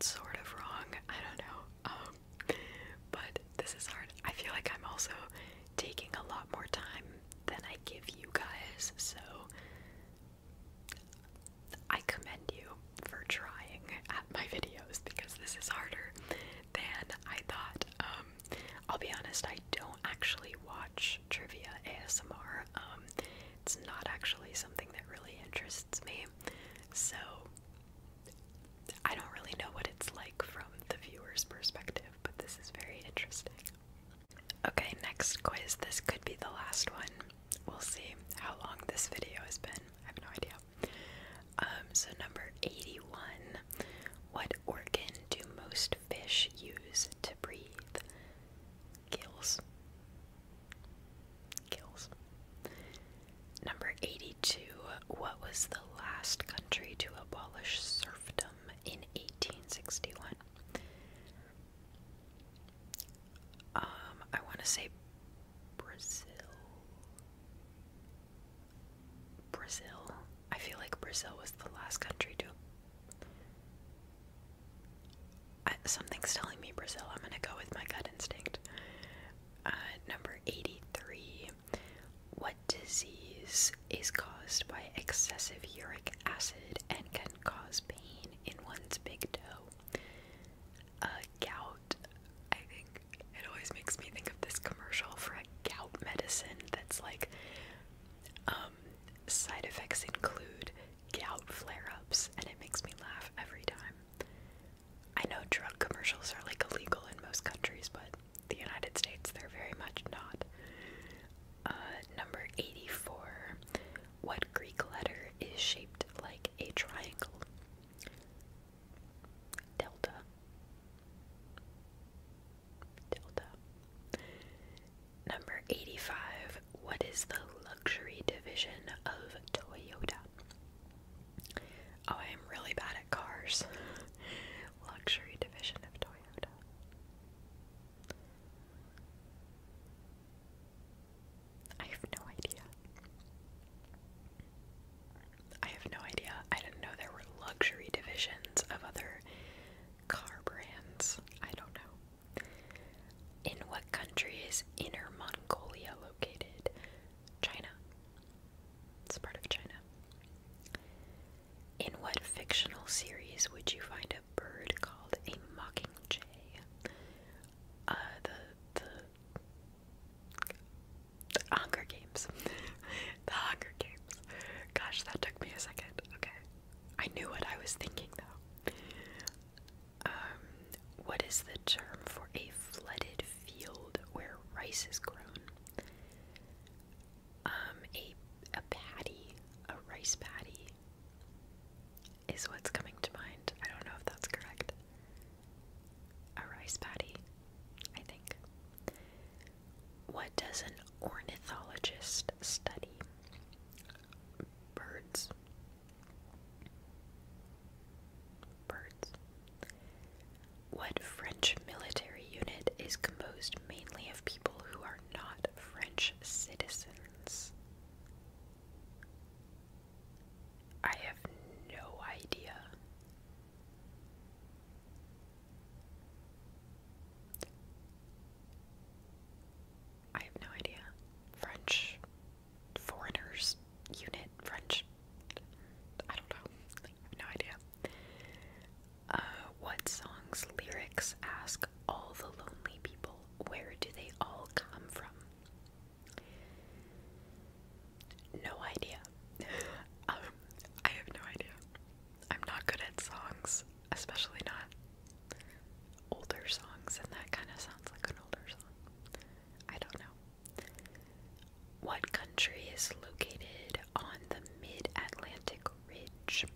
sort of wrong. I don't know. Um, but this is hard. I feel like I'm also taking a lot more time than I give you guys, so I commend you for trying at my videos because this is harder than I thought. Um, I'll be honest, I don't actually watch trivia ASMR. Um, it's not actually something that really interests me, so I don't really know what it's like from the viewer's perspective, but this is very interesting. Okay, next quiz. This could be the last one. We'll see how long this video has been. I have no idea. Um, so, number 81. What organ do most fish use to breathe? Gills. Gills. Number 82. What was the last country to abolish serfdom in 1861? Um, I want to say Brazil. Brazil. I feel like Brazil was the last country to something's telling me Brazil. I'm gonna go with my gut instinct. Uh, number 83. What disease is caused by excessive uric acid and can cause pain in one's big toe? A gout. I think it always makes me think of this commercial for a gout medicine that's like, um, Side effects include gout flare ups, and it makes me laugh every time. I know drug commercials are like illegal in most countries, but the United States, they're very much not. Uh, number 84. What Greek letter is shaped like a triangle? Delta. Delta. Number 85. What is the luxury division of Toyota? Oh, I am really bad at cars. luxury division of Toyota. I have no idea. I have no idea. I didn't know there were luxury divisions of other car brands. I don't know. In what country is Inner Mongolia located? China. It's part of China. In what fictional series would you find a bird called a mockingjay? Uh, the the Hunger Games. the Hunger Games. Gosh, that took me a second. Okay. I knew what I was thinking though. Um, what is the term for a flooded field where rice is grown? Um, a a paddy, a rice paddy is what's coming to mind. I don't know if that's correct. A rice paddy, I think. What does an ornithologist study? birds. Birds. What French military unit is composed mainly of people who are not French citizens? I have no idea. I have no idea. French foreigners unit, French. I don't know. no idea. Uh, what song's lyrics ask all the lonely people where do they all come from? No idea. um, I have no idea. I'm not good at songs, especially not older songs, and that kind of sounds like an older song. I don't know. What country is located on the mid Atlantic Ridge?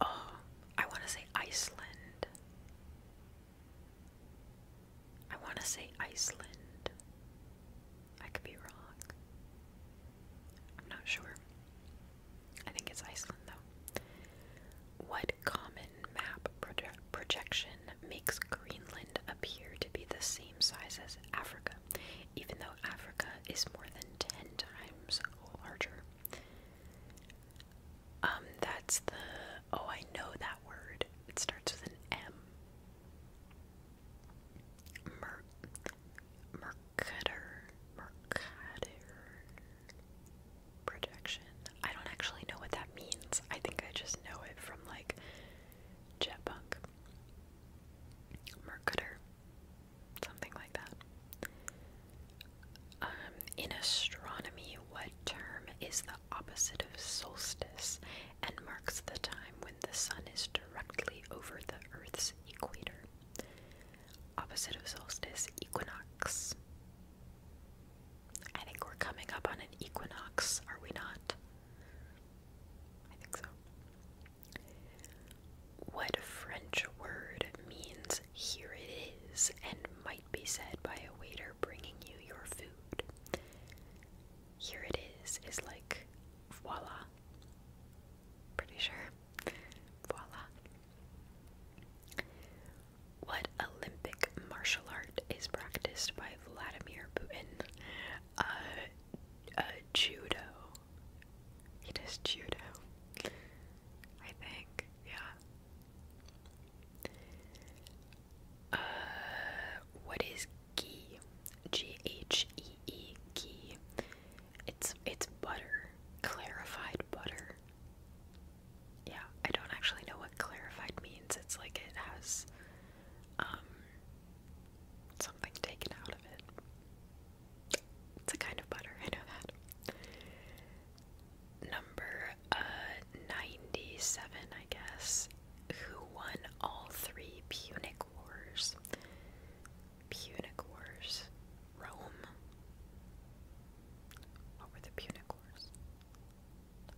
Oh, I want to say Iceland. I want to say Iceland. I could be wrong. I'm not sure. I think it's Iceland though. What common map projection makes Greenland appear to be the same size as Africa, even though Africa is more than 10 times larger? Um, that's the. Oh, I know that word. It starts with an M. Mercator projection. I don't actually know what that means. I think I just know it from like Jetpunk. Mercator. Something like that. Um, in astronomy, what term is the opposite of solstice and marks the time when the sun is directly over the Earth's equator? Opposite of solstice, equinox. I think we're coming up on an equinox, are we not? I think so. What French word means here it is and might be said by a waiter bringing you your food? Here it is is like voila. Pretty sure. Voila. What Olympic martial art is practiced by Vladimir Putin? Uh, uh, judo. He judo. I think, yeah. Uh, what is gi? It's it's butter, clarified butter. Yeah, I don't actually know what clarified means. It's like it has um something taken out of it. It's a kind of butter, I know that. Number uh, 97, I guess, who won all three Punic Wars. Punic Wars? Rome? What were the Punic Wars?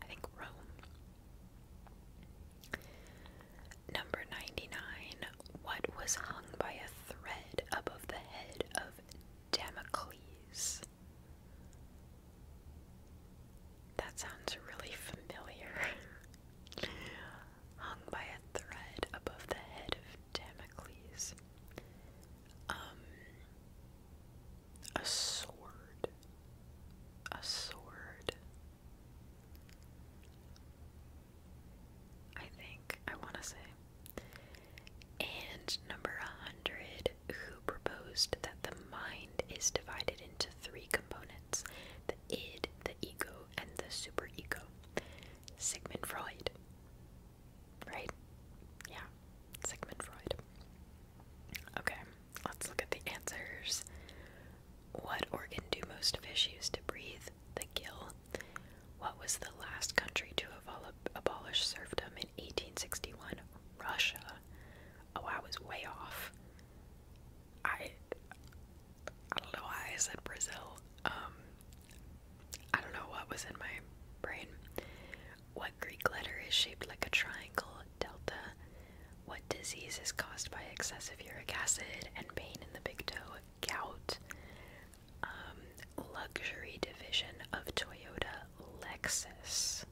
I think Rome. Number 99. What was hung by a thread above the head of Damocles? That sounds really familiar. hung by a thread above the head of Damocles. Um, a sword. A sword. I think I want to say. And number 100, who proposed that the mind is divided into three components the id, the ego, and the super ego. Sigmund Freud. Right? Yeah. Sigmund Freud. Okay, let's look at the answers. What organ do most fish use to breathe? The gill. What was the last country to abolish serfdom in 1861? Russia. Oh, I was way off. I I don't know why I said Brazil. Um, I don't know what was in my brain. What Greek letter is shaped like a triangle, delta? What disease is caused by excessive uric acid and pain in the big toe, gout? Um, luxury division of Toyota, Lexus.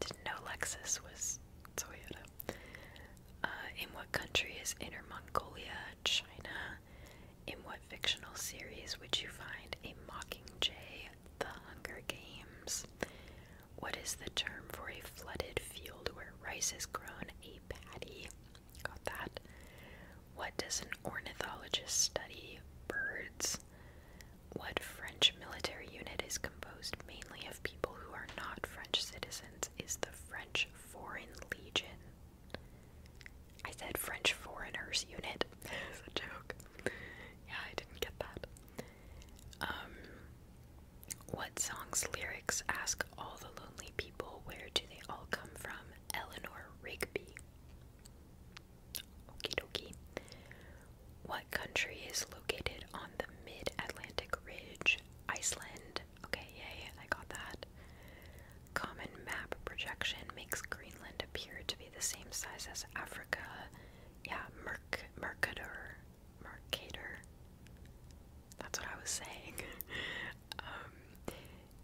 Didn't know Lexus was Toyota. Uh, in what country is Inner Mongolia, China? In what fictional series would you find a Mockingjay? The Hunger Games. What is the term for a flooded field where rice is grown a paddy. Got that. What does an ornithologist study? Birds. What French military unit is composed mainly of people who are not French citizens is the French Foreign Legion? I said French Foreigners Unit. It's a joke. Yeah, I didn't get that. Um, what song's lyrics ask all the lonely people where do they all come from? Eleanor Rigby. Okie dokie. What country is located on the mid Atlantic Ridge? Iceland, Okay, yay, I got that. Common map projection makes Greenland appear to be the same size as Africa. Yeah, Mercator. Mercator. That's what I was saying. Um,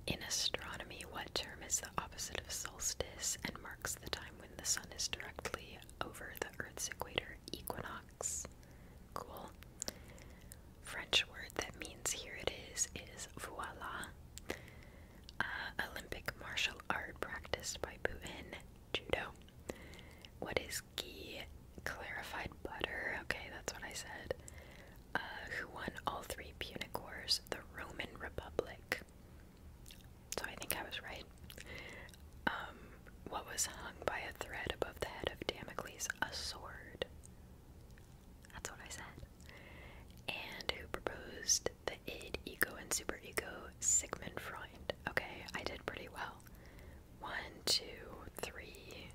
in astronomy, what term is the opposite of solstice and marks the time when the sun is directly over the Earth's equator? Equinox. Cool. French word that means here it is is voila. Uh, Olympic martial art practiced by Putin, judo. What is ghee? Clarified butter. Okay, that's what I said. Uh, who won all three Punic Wars? The Roman Republic. So I think I was right. Um, what was hung by a thread above the head of Damocles? A sword. That's what I said. And who proposed the id, ego, and super ego? Sigmund Freud. Okay, I did pretty well. One, two, three,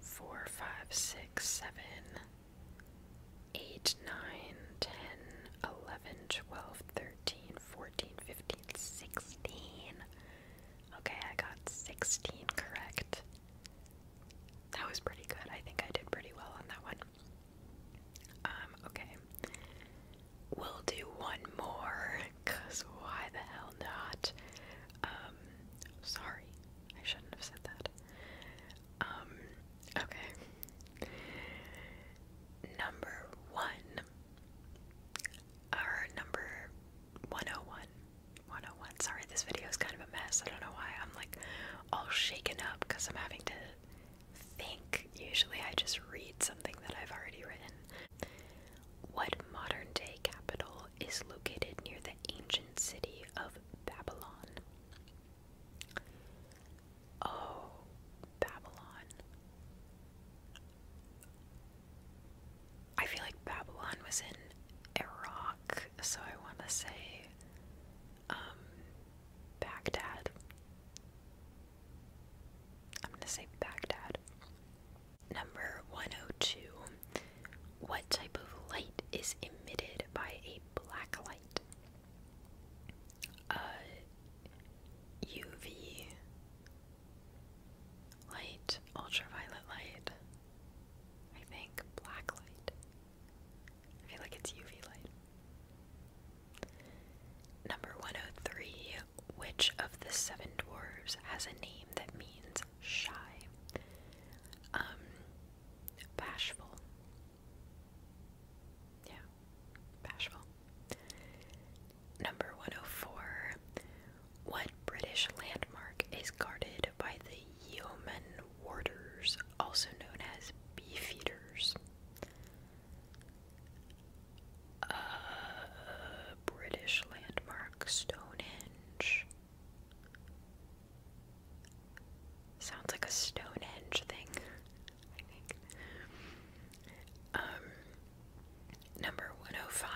four, five, six, seven, eight, nine, ten, eleven, twelve, thirteen, fourteen, fifteen, sixteen. Okay, I got sixteen correct that was pretty good. I think I did pretty well on that one. Um, okay. We'll do one more, because why the hell not? Um, sorry. I shouldn't have said that. Um, okay. Number one, or number 101 101. Sorry, this video is kind of a mess. I don't know why. I'm like all shaken up because I'm having to think. Usually I just read something that I've already written. What modern day capital is located near the ancient city of Babylon? Oh, Babylon. I feel like Babylon was in Iraq, so I want to say um, Baghdad. I'm going to say Baghdad. Number 102. What type of light is emitted by a black light? Uh, UV light, ultraviolet light. I think black light. I feel like it's UV light. Number 103 Which of the seven dwarves has a name that means shy? Um, bashful. Yeah, bashful. Number 104 What British landmark is guarded by the yeoman warders, also known as beefeaters. A uh, British landmark, Stonehenge. Sounds like a Stonehenge thing, um, number 105.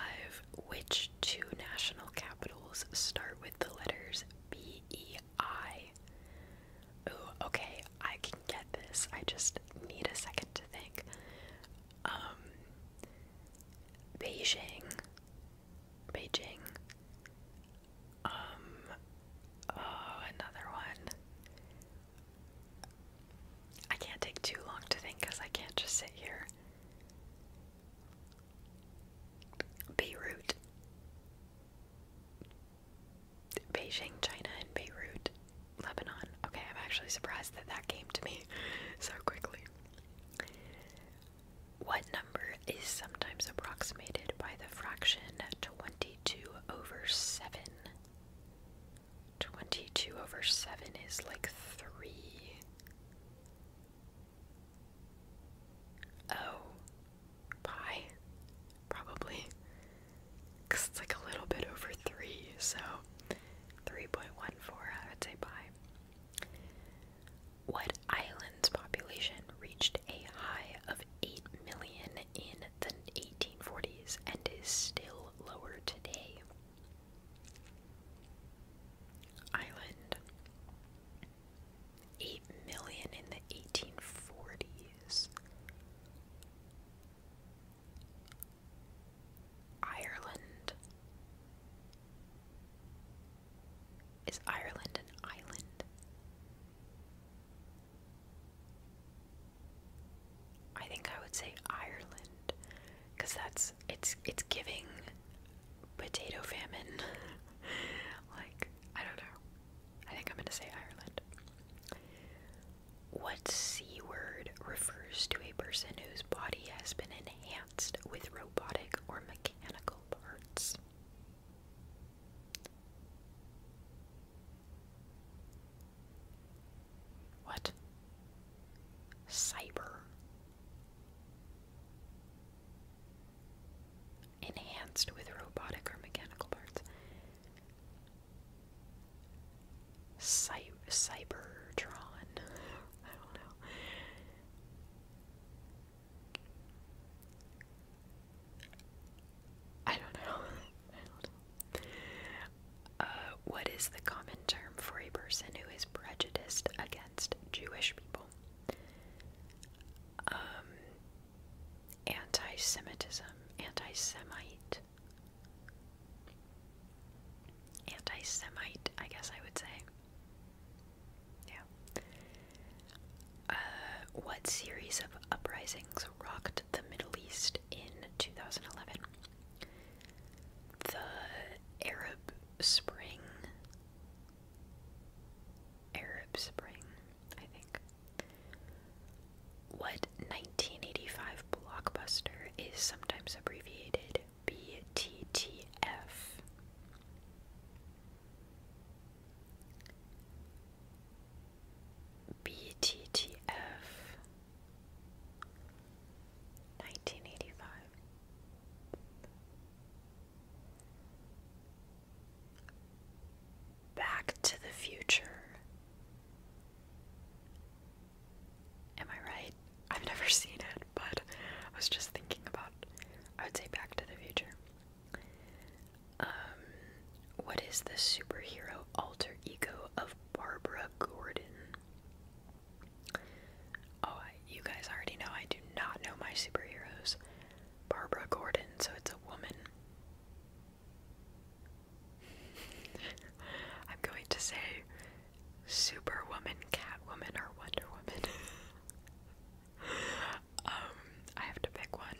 Which two national capitals start with the letters B E I. Ooh, okay, I can get this. I just need a second to think. Um, Beijing. Beijing. Um, oh, another one. I can't take too long to think because I can't just sit here. Beirut. Beijing, China, and Beirut, Lebanon. Okay, I'm actually surprised that that came to me so quickly. What number is sometimes approximated by the fraction 22 over 7? 22 over 7 is like 3. Oh, pie, probably, it's like a little bit over three, so 3.14, I would say pi. What island's population reached a high of 8 million in the 1840s and is still lower today? Island. 8 million in the 1840s. Ireland. Is Ireland an island? I think I would say Ireland, because that's it's it's giving potato famine. like, I don't know. I think I'm gonna say Ireland. What C word refers to a person whose body has been enhanced with robotic or mechanical parts? What? Cyber enhanced with robotic or mechanical parts. Cy Cybertron. I don't know. I don't know. Uh, what is the common term for a person who is prejudiced against Jewish people? Um, anti Semitism, anti Semite. Anti Semite, I guess I would say. Yeah. Uh, what series of uprisings rocked the Middle East in 2011? The Arab Spring, Arab Spring, I think. What 1985 blockbuster is sometimes abbreviated BTTF? BTTF 1985 Back to the Future. Am I right? I've never seen it, but I was just thinking about I would say Back to the Future. Um what is the superhero alter ego of Barbara Gordon? Oh, I, you guys already know I do not know my superheroes. Barbara Gordon, so it's a woman. I'm going to say Superwoman, Catwoman, or Wonder Woman. um, I have to pick one.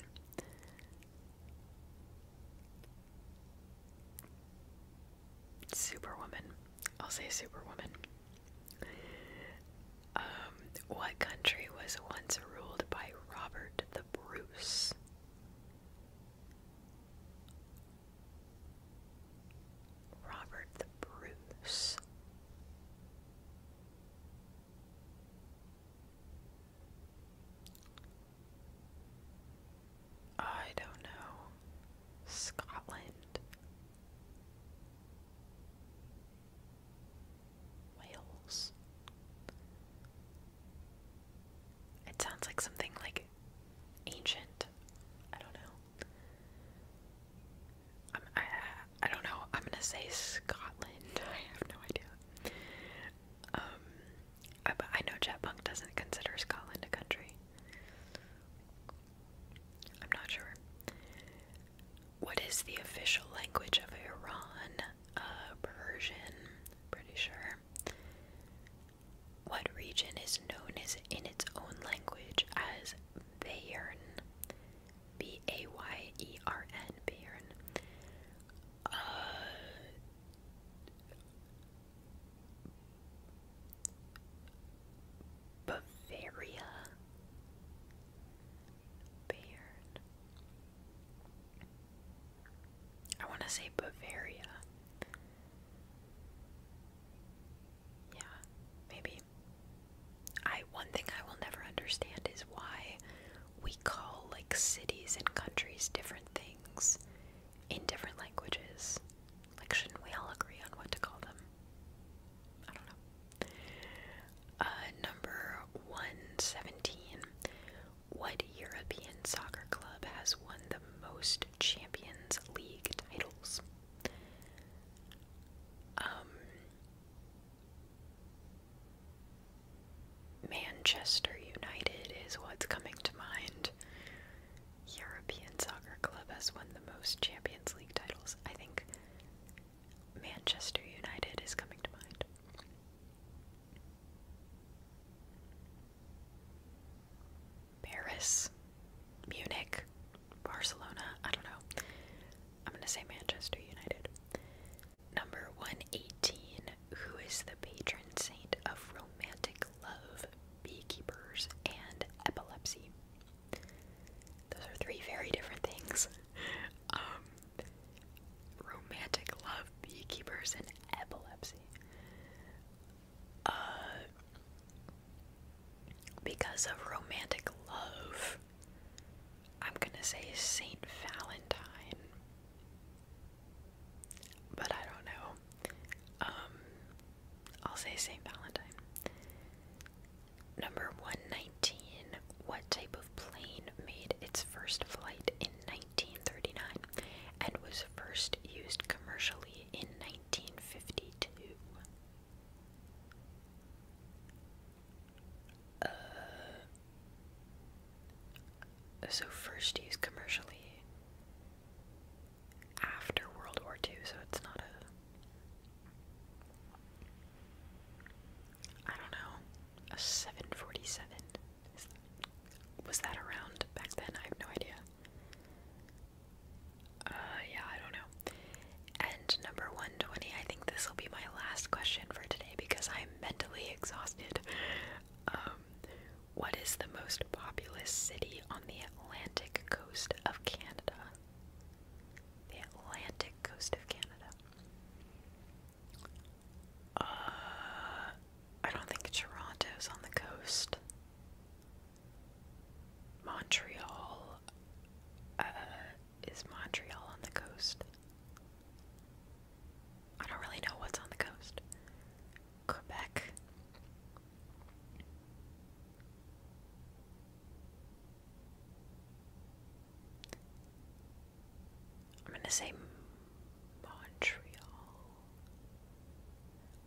Superwoman. I'll say Superwoman. Um, what country was once ruled by Robert the Bruce? Robert the Bruce. I don't know. Scotland. Whales. It sounds like something like ancient. I don't know. I'm, I don't know. I'm gonna say Scotland. I have no idea. Um, I, know Jetpunk doesn't consider Scotland a country. I'm not sure. What is the official language of Iran? Uh, Persian, pretty sure. What region is known as in its own language as Bayern? B A Y E R N, Bayern. Uh, Bavaria. Bayern. I want to say Bavaria. Yeah, maybe. I one thing I will never understand is why we call like cities and countries different things in different languages. Like shouldn't we all agree on what to call them? Uh, number 117. What European soccer club has won the most Champions League titles? Um, Manchester United is what's coming to mind. European soccer club has won the most Champions League titles. I think Manchester United is coming to mind. Paris, Munich, Barcelona, I don't know. I'm gonna say Manchester United. Number 118, who is the patron saint of romantic love, beekeepers, and epilepsy? Those are three very different things. um, romantic love, beekeepers, and epilepsy. Uh, because of romantic love, I'm gonna say Saint Valentine, but I don't know. Um, I'll say Saint Valentine. Number 119. What type of plane made its first flight in 1939 and was first used commercially in 1952? Uh, so, first used commercially after World War II, so it's not a. I don't know a 747. was that around back then? I have no idea. Uh, yeah, I don't know. And number 120, I think this will be my last question for today because I'm mentally exhausted. Um, what is the most populous city on the Atlantic coast of Canada? the Atlantic coast of Canada. Uh, I don't think Toronto's on the coast. Montreal, uh, is Montreal on the coast? I don't really know what's on the coast. Quebec. I'm gonna say Montreal,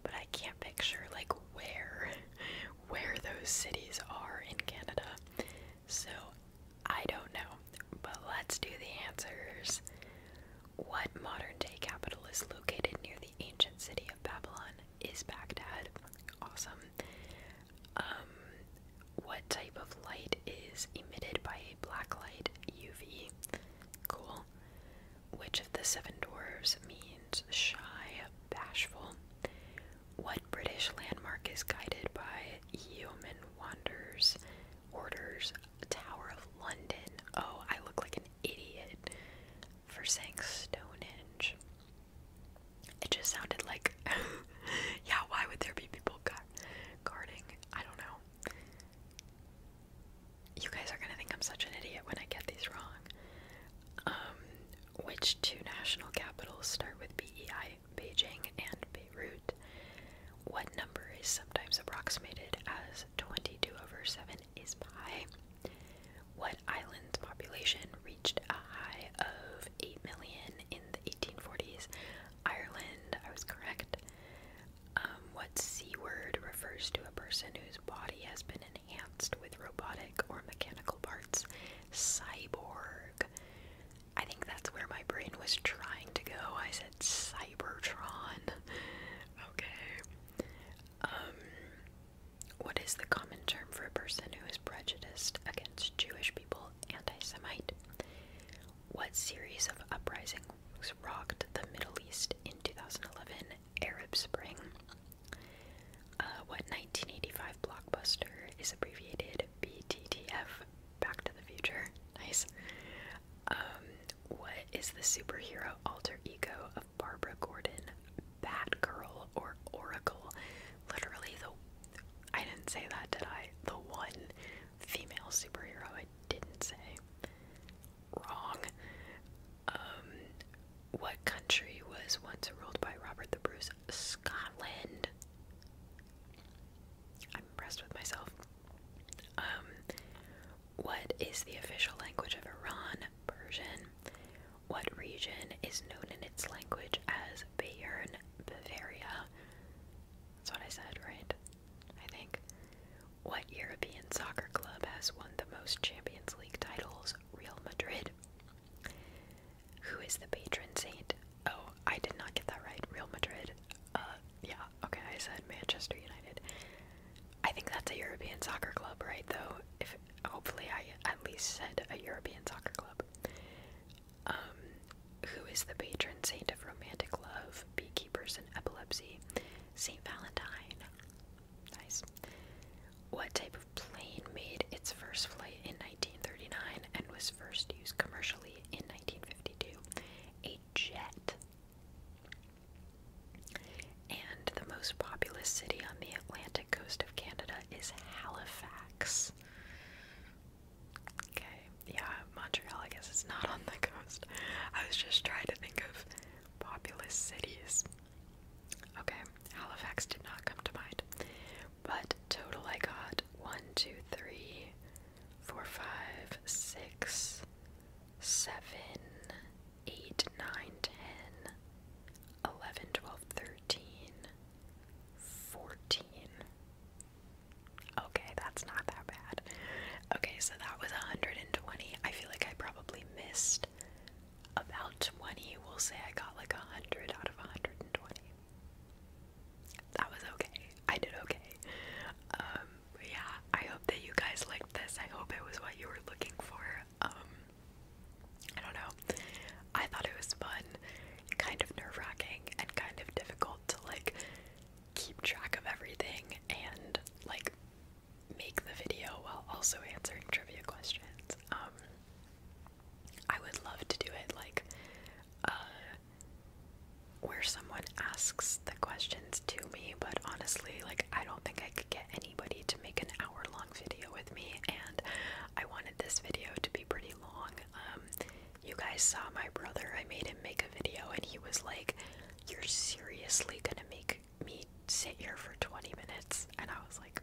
but I can't picture like where where those cities are in Canada. So I don't know. But let's do the answers. What modern day capital is located near the ancient city of Babylon is Baghdad. Awesome. Um, what type of light is emitted by black light UV? Cool. Which of the seven dwarves means shy, bashful? What British landmark is guided by human wonders, Orders Tower of London? Oh, I look like an idiot for saying Stonehenge. It just sounded like, yeah, why would there be people guarding? I don't know. You guys are gonna think I'm such an idiot when I get these wrong. Um, which two national capitals start with BEI? Beijing and Beirut. What number is sometimes approximated as 22 over 7 is pi? What island's population reached a high of 8 million in 1840s. Ireland, I was correct. Um, what C word refers to a person whose body has been enhanced with robotic or mechanical parts? Cyborg. I think that's where my brain was trying to go. I said Cybertron. okay. Um, what is the common term for a person who is prejudiced against Jewish people? anti-Semite? What series of uprisings rocked the Middle East in 2011? Arab Spring. Uh, what 1985 blockbuster is abbreviated BTTF? Back to the Future. Nice. Um, what is the superhero alter ego of Barbara Gordon? Batgirl or Oracle? literally the I didn't say that, did I? The one female superhero I didn't say. Wrong. Um, what country was once ruled by Robert the Bruce? Scotland. I'm impressed with myself. Um, what is the official language of Iran? Persian. What region is known in its language as Bayern, Bavaria? That's what I said, right? I think. What European soccer club has won the most Champions League titles? Real Madrid. Who is the patron saint? Oh, I did not get that right. Real Madrid. Uh, yeah, okay, I said Manchester United. I think that's a European soccer club, right? Though, if hopefully I at least said a European soccer club. Um, who is the patron saint of romantic love, beekeepers, and epilepsy, St. Valentine. Nice. What type of plane made its first flight in 1939 and was first used commercially in 1952? A jet. And the most populous city on the Atlantic coast of Canada is Halifax. Okay, yeah, Montreal, I guess it's not on the coast. I was just trying to think of populous cities. Okay, Halifax did not come to mind. But total I got one, two, three, four, five, six, seven, eight, nine, ten, eleven, twelve, thirteen, fourteen. Okay, that's not that bad. Okay, so that was 120. I feel like I probably missed about 20. We'll say I got like 100 out of 120. That was okay. I did okay. Um, yeah, I hope that you guys liked this. I hope it was what you were looking for. Um, I don't know. I thought it was fun kind of nerve wracking and kind of difficult to like keep track of everything and like make the video while also answering trivia questions. Um, I would love to do it like uh, where someone asks the questions to me, but honestly, like I don't think I could get anybody to make an hour long video with me, and I wanted this video to be pretty long. Um, you guys saw my brother. I made him make a video, and he was like, You're seriously gonna make me sit here for 20 minutes? And I was like,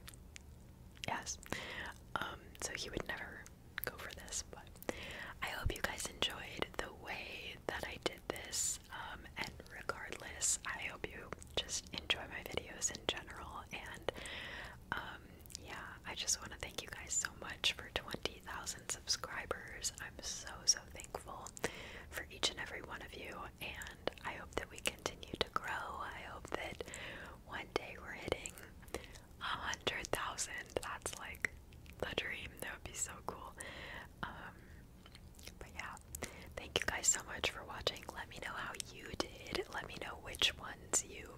Yes. Um, so he would never go for this, but I hope you guys enjoyed the way that I did this. Um, and regardless, I hope you just enjoy my videos in general and um, yeah, I just want to thank you guys so much for 20,000 subscribers. I'm so, so thankful for each and every one of you, and I hope that we continue to grow. I hope that one day we're hitting 100,000. That's like the dream. That would be so cool. Um, but yeah, thank you guys so much for watching. Let me know how you did. Let me know which ones you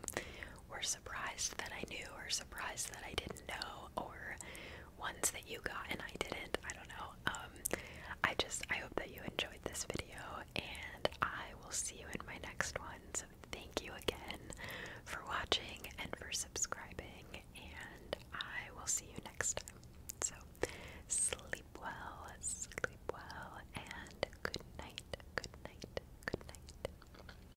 were surprised that I knew or surprised that I didn't know or ones that you got and I didn't. I don't know. Um, I just I hope that you enjoyed this video and I will see you in my next one. So thank you again for watching and for subscribing and I will see you next time. So sleep well, sleep well and good night. Good night. Good night.